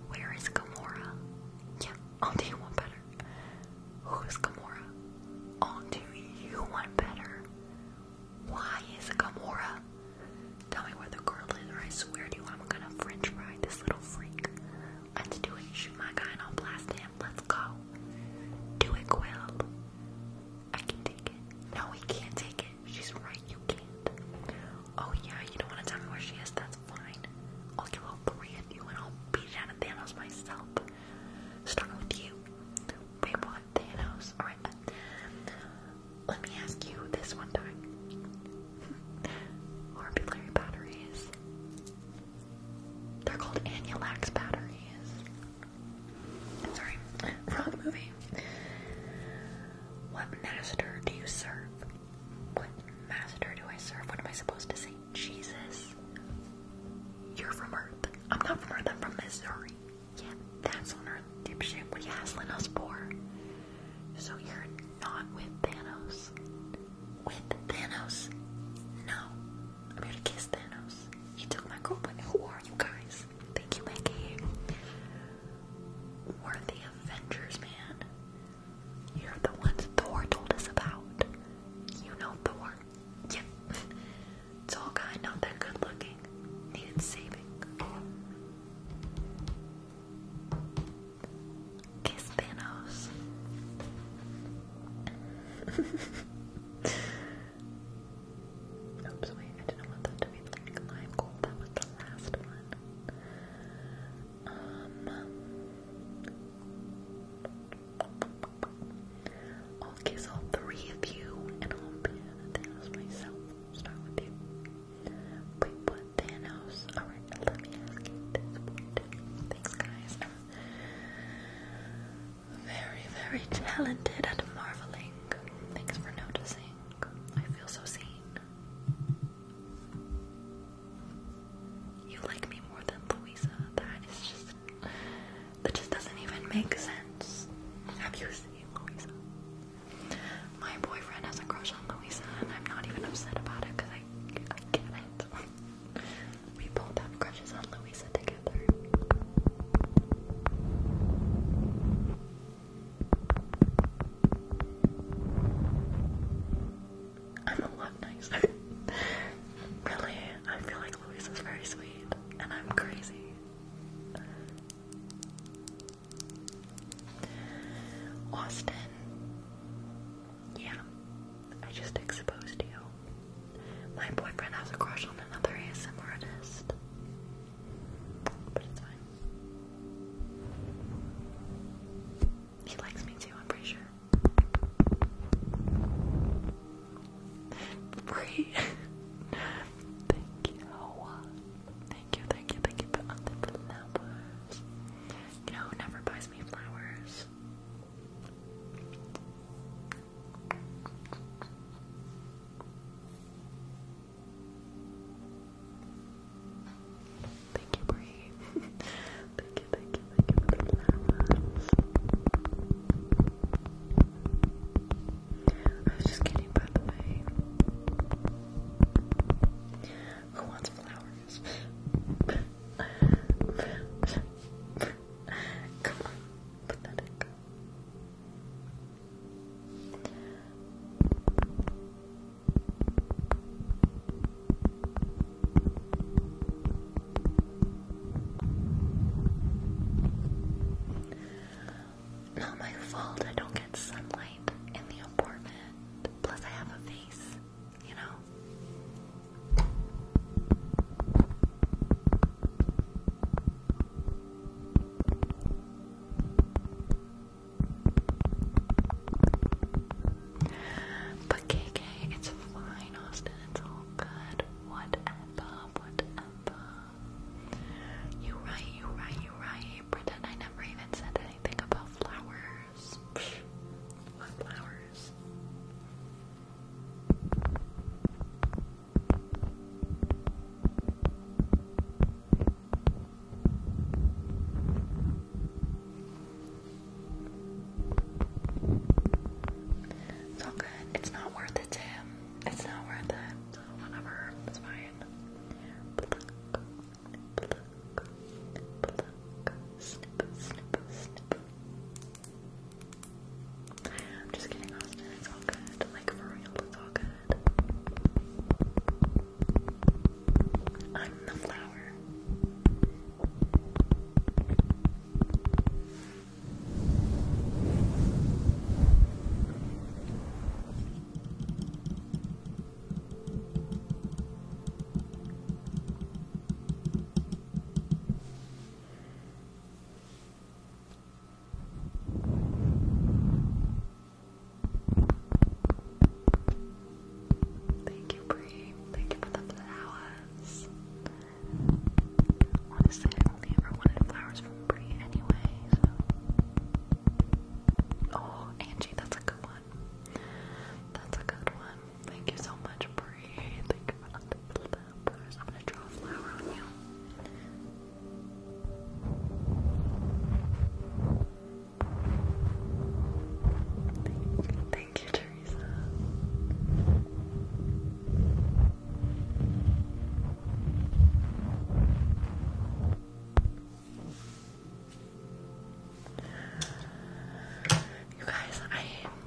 Where is Gamora? Yeah, i do you one better. Who is Gamora? i do you one better. Why is Gamora Tell me where the girl is, or I swear to you, I'm gonna french fry this little freak. Let's do it. Shoot my guy and I'll blast him. Let's go. Do it, Quill. I can take it. No, he can't take it. She's right, you can't. Oh, yeah, you don't want to tell me where she is? That's fine. I'll kill all three of you and I'll beat it out of Thanos myself. Starting with you. Wait, what? Thanos? Alright let me ask you this one time. Orbulary batteries. They're called Anulax batteries. Sorry, wrong movie. What master do you serve? What master do I serve? What am I supposed to say? Jesus. You're from Earth. I'm not from Earth, I'm from Missouri. Yeah, that's on Earth, dipshit. What are you hassling us for? So you're not with Thanos. With Thanos? No. I'm here to kiss Thanos. You took my girlfriend. Who are you guys? Thank you, Maggie. We're the Avengers, man. You're the ones Thor told us about. You know Thor. Yeah. It's all guy, not that good looking. Needed saving. Kiss Thanos. Oops, wait, I didn't want that to be like lime gold. That was the last one. I'll kiss all three of you, and I'll be Thanos myself. Start with you. We put Thanos. Alright, let me ask you this one. Thanks, guys. very, very talented at marveling. Thanks for noticing. I feel so seen. You like me more than Louisa. That is just. That just doesn't even make sense. Have you seen Louisa? My boyfriend has a crush on Louisa, and I'm not even upset about it because I, I get it. we both have crushes on Louisa together. I'm a lot nicer. really, I feel like Louisa's very sweet, and I'm crazy. Austin. Yeah, I just exposed you. My boyfriend has a crush on another ASM artist. But it's fine. He likes me too, I'm pretty sure. Free. Thank you. Thank you, thank you, thank you for all the flowers. You know who never buys me flowers? Thank you, Bree. thank you, thank you, thank you for the flowers. I was just kidding, by the way. Who wants flowers? Come on, pathetic. Not my fault, I don't get sunlight in the apartment. Plus, I have a you know? But KK, it's fine, Austin. It's all good. Whatever, whatever. You right, you right, you right. Pretend I never even said anything about flowers. It's all good. It's not worth it to him. It's not worth it. So whatever. It's fine pluck, pluck, I'm just kidding, Austin. It's all good. Like for real, it's all good. I'm the flower. Thank you, Bree. Thank you for the flowers. Honestly, I only ever wanted flowers from Bree anyway, so. Oh, Angie, that's a good one. That's a good one. Thank you so much, Bree. Thank you I'm gonna draw a flower on you. Thank you, Teresa. You guys,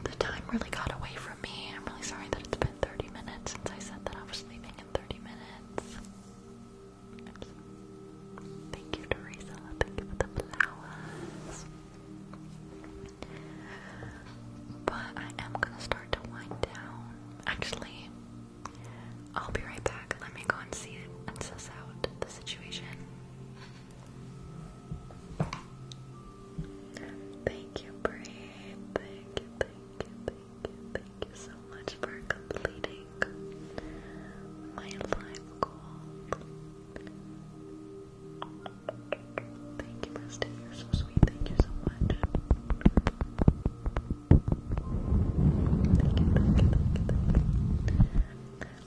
the time really got away from me. I'm really sorry that it's been 30 minutes since I said that I was leaving in 30 minutes. Thank you, Teresa. Thank you for the flowers. But I am gonna start to wind down. Actually, I'll be right back. Let me go and see and assess out the situation. Thank you, Bree. Thank you, thank you, thank you, thank you so much for completing my live goal. Thank you, Rusty. You're so sweet. Thank you so much.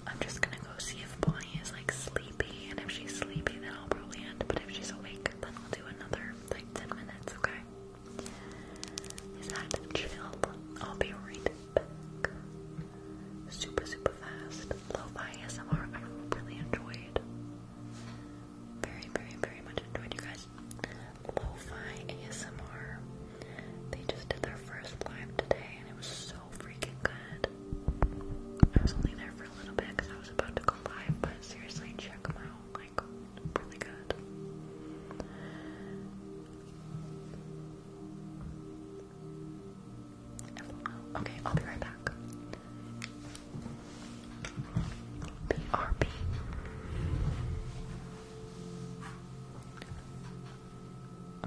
I'm just gonna go see if Bonnie is like sleepy, and if she's sleepy, then I'll probably end. But if she's awake, then we'll do another like 10 minutes, okay? Is that chill? I'll be right back. Super, super fast. Lo-fi ASMR, I really enjoyed. Very, very, very much enjoyed you guys. Lo-fi ASMR. They just did their first live today and it was so freaking good. I was only there for a little bit because I was about to go live, but seriously, check them out. Like, really good. Okay, I'll be right back. BRB.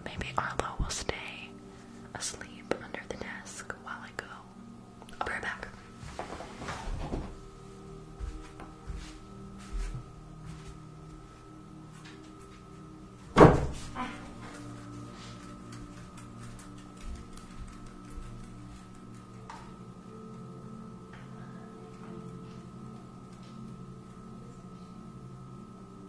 Maybe Arlo will stay asleep under the desk while I go. I'll be right back.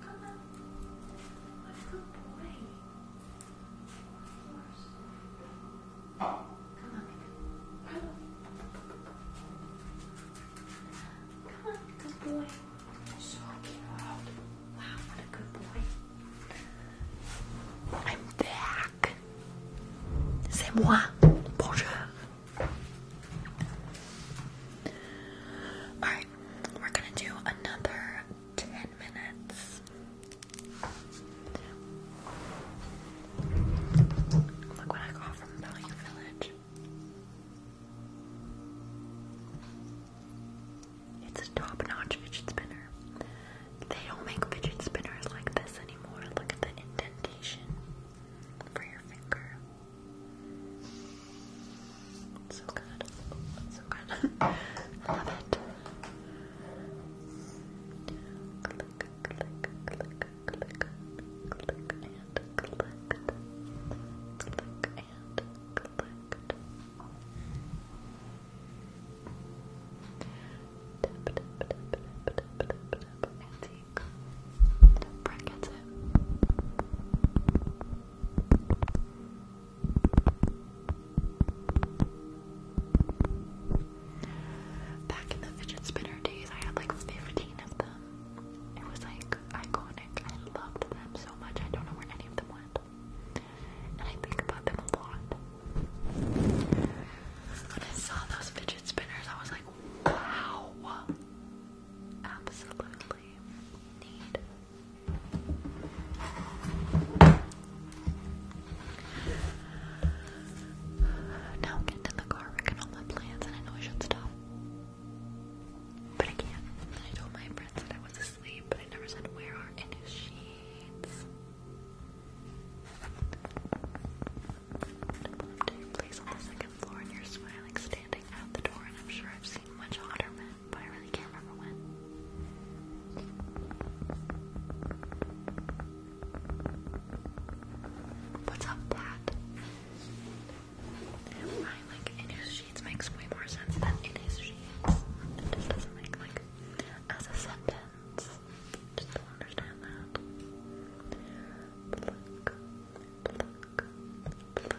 Come on. What good boy. Come on, baby. Come on, good boy. So cute. Wow, what a good boy. I'm back. C'est moi. Bonjour. Alright, we're gonna do another ten minutes. Look what I got from Value Village. It's a top-notch fidget spinner. They don't make fidget spinners like this anymore. Look at the indentation for your finger so good. so good. I love it. Click, click, click, click, click and click. Click and click. Tap, tap, tap, tap, tap, tap, tap, antique. Brett gets it. Back in the fidget spinner days, I had like 15 of them. It was like iconic. I loved them so much. I don't know where any of them went. And I think about them a lot. When I saw those fidget spinners, I was like, wow. Absolutely need now i in the car, wrecking all my plans, and I know I should stop. But I can't. And I told my friends that I was asleep, but I never said where are any sheets. I've in place on the second floor, and you're smiling, standing out the door, and I'm sure I've seen much hotter men but I really can't remember when. What's up, Pat? I like in his sheets makes way more sense than in his sheets. It just doesn't make like as a sentence. Just don't understand that. Pluck, pluck, pluck,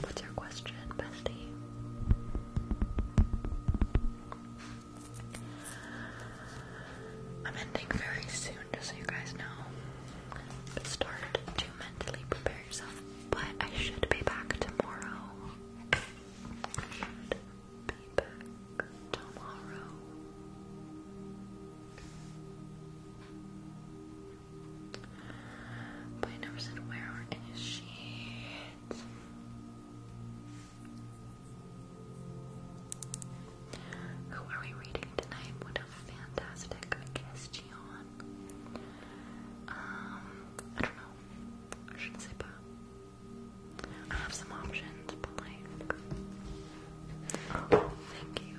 What's your question, bestie? I'm ending very soon, just so you guys know. It's to mentally prepare yourself, but I should be back tomorrow. be back tomorrow. But I never said where are any sheets. Who are we reading tonight? What a fantastic question. Um, I don't know. I shouldn't say but I have some options, but like. thank you.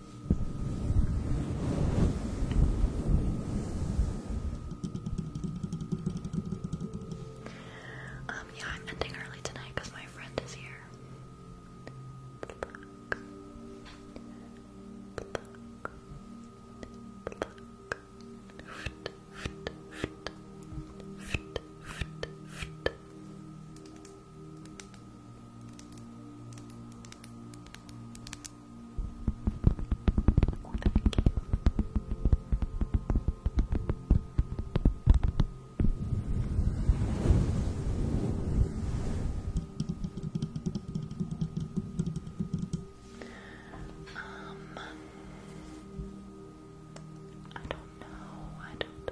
um, yeah, I'm ending early tonight because my friend is here thank you. Um, I don't know. I don't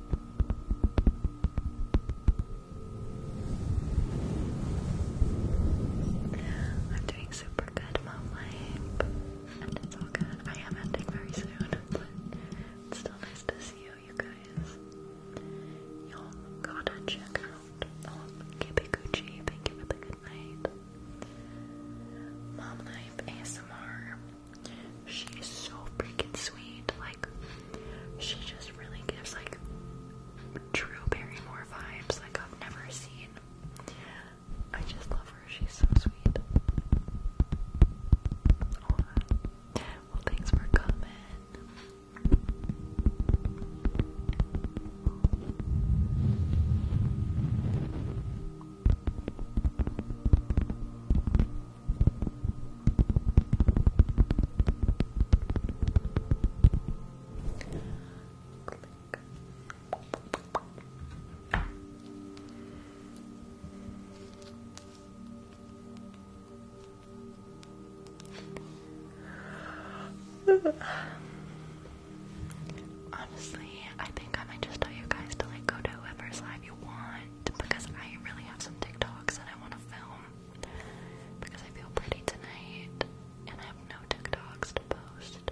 I'm doing super good about life, and it's all good. I am ending very soon, but it's still nice to see you, you guys. Y'all gotta check out all of Thank you for the good night. Mom Life ASMR. She's so freaking sweet. Like, she just really gives like true Barrymore vibes. Like I've never seen. I just love her. She's so sweet. well, thanks for coming. Honestly, I think I might just tell you guys to like go to whoever's live you want because I really have some TikToks that I want to film because I feel pretty tonight and I have no TikToks to post.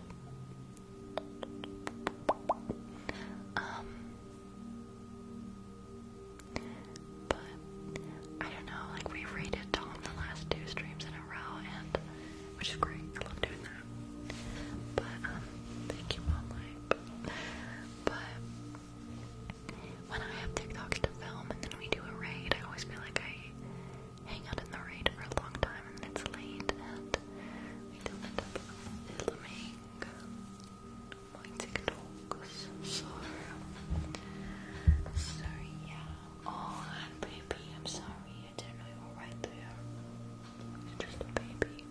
Um, but I don't know, like we rated Tom the last two streams in a row, and which is great. I love doing that. But um, thank you, Mom but when I have TikToks to film and then we do a raid, I always feel like I hang out in the raid for a long time and it's late and we don't end up filming my TikToks. Sorry. Sorry, yeah. Oh, baby, I'm sorry. I didn't know you were right there. just a baby.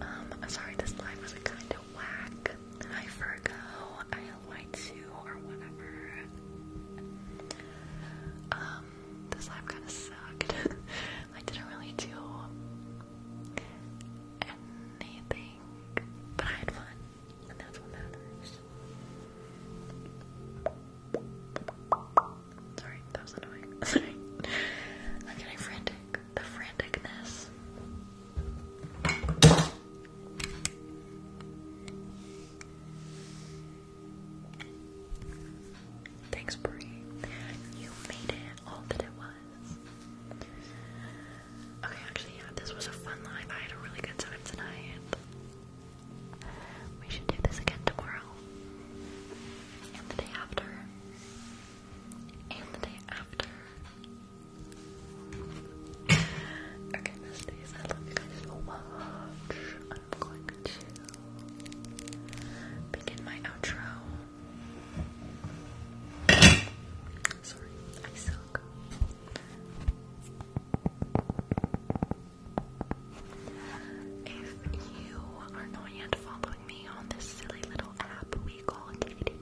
Um, I'm sorry this live was a kind of whack. Hi Virgo, ILY2 or whatever. Um, this live kind of sucked. I didn't really do anything, but I had fun. Sorry, that was annoying. I'm getting frantic. The franticness. Thanks, Brie. You made it all that it was. Okay, actually, yeah, this was a fun live. I had a really good time tonight. We should do this again tomorrow. And the day after. And the day after. okay, besties, I love you guys so much. I'm going to begin my outro. Sorry, I suck. If you are not yet following me on this silly little app we call Kitty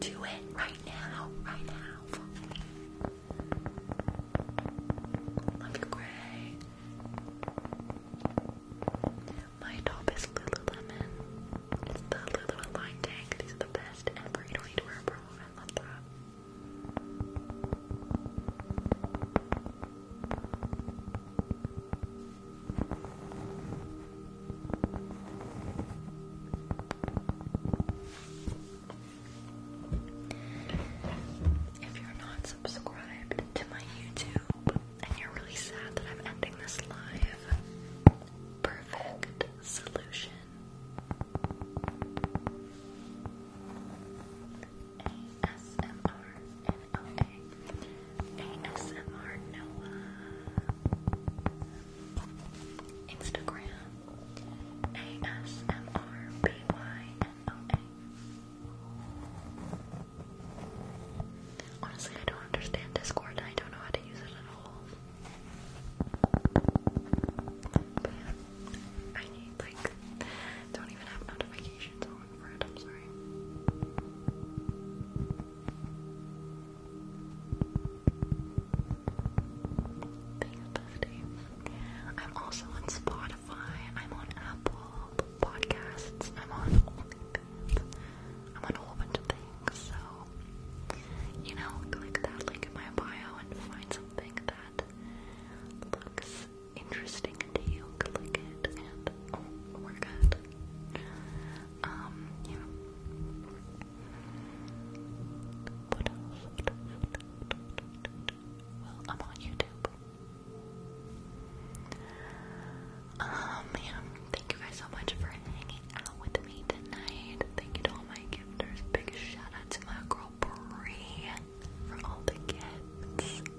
do it right now, right now. Love you, Gray. My top is Lululemon. It's the Lululemon line tank. These are the best and burrito If you're not subscribed to my YouTube and you're really sad that I'm ending this live, perfect solution. ASMR NOA. ASMR Noah. Instagram. ASMR BYNOA. Honestly, I don't understand Discord. I don't know how to use it at all. I need like don't even have notifications on I'm also on Spotify. I'm on Apple Podcasts. I'm on OnlyFans. I'm on a whole things. You know, click that link in my bio and find something that looks interesting to you. Click it and oh, we're good. Um, yeah. Well, I'm on YouTube. Um, yeah. Thank you guys so much for hanging out with me tonight. Thank you to all my gifters. Big shout out to my girl Bree for all the gifts.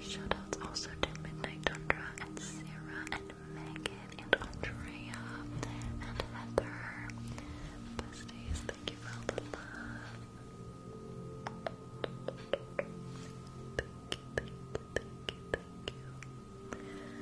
Shout outs also to Midnight Tundra and Sarah and Megan and Andrea and Heather. Besties, thank you all the love. thank you, thank you, thank you.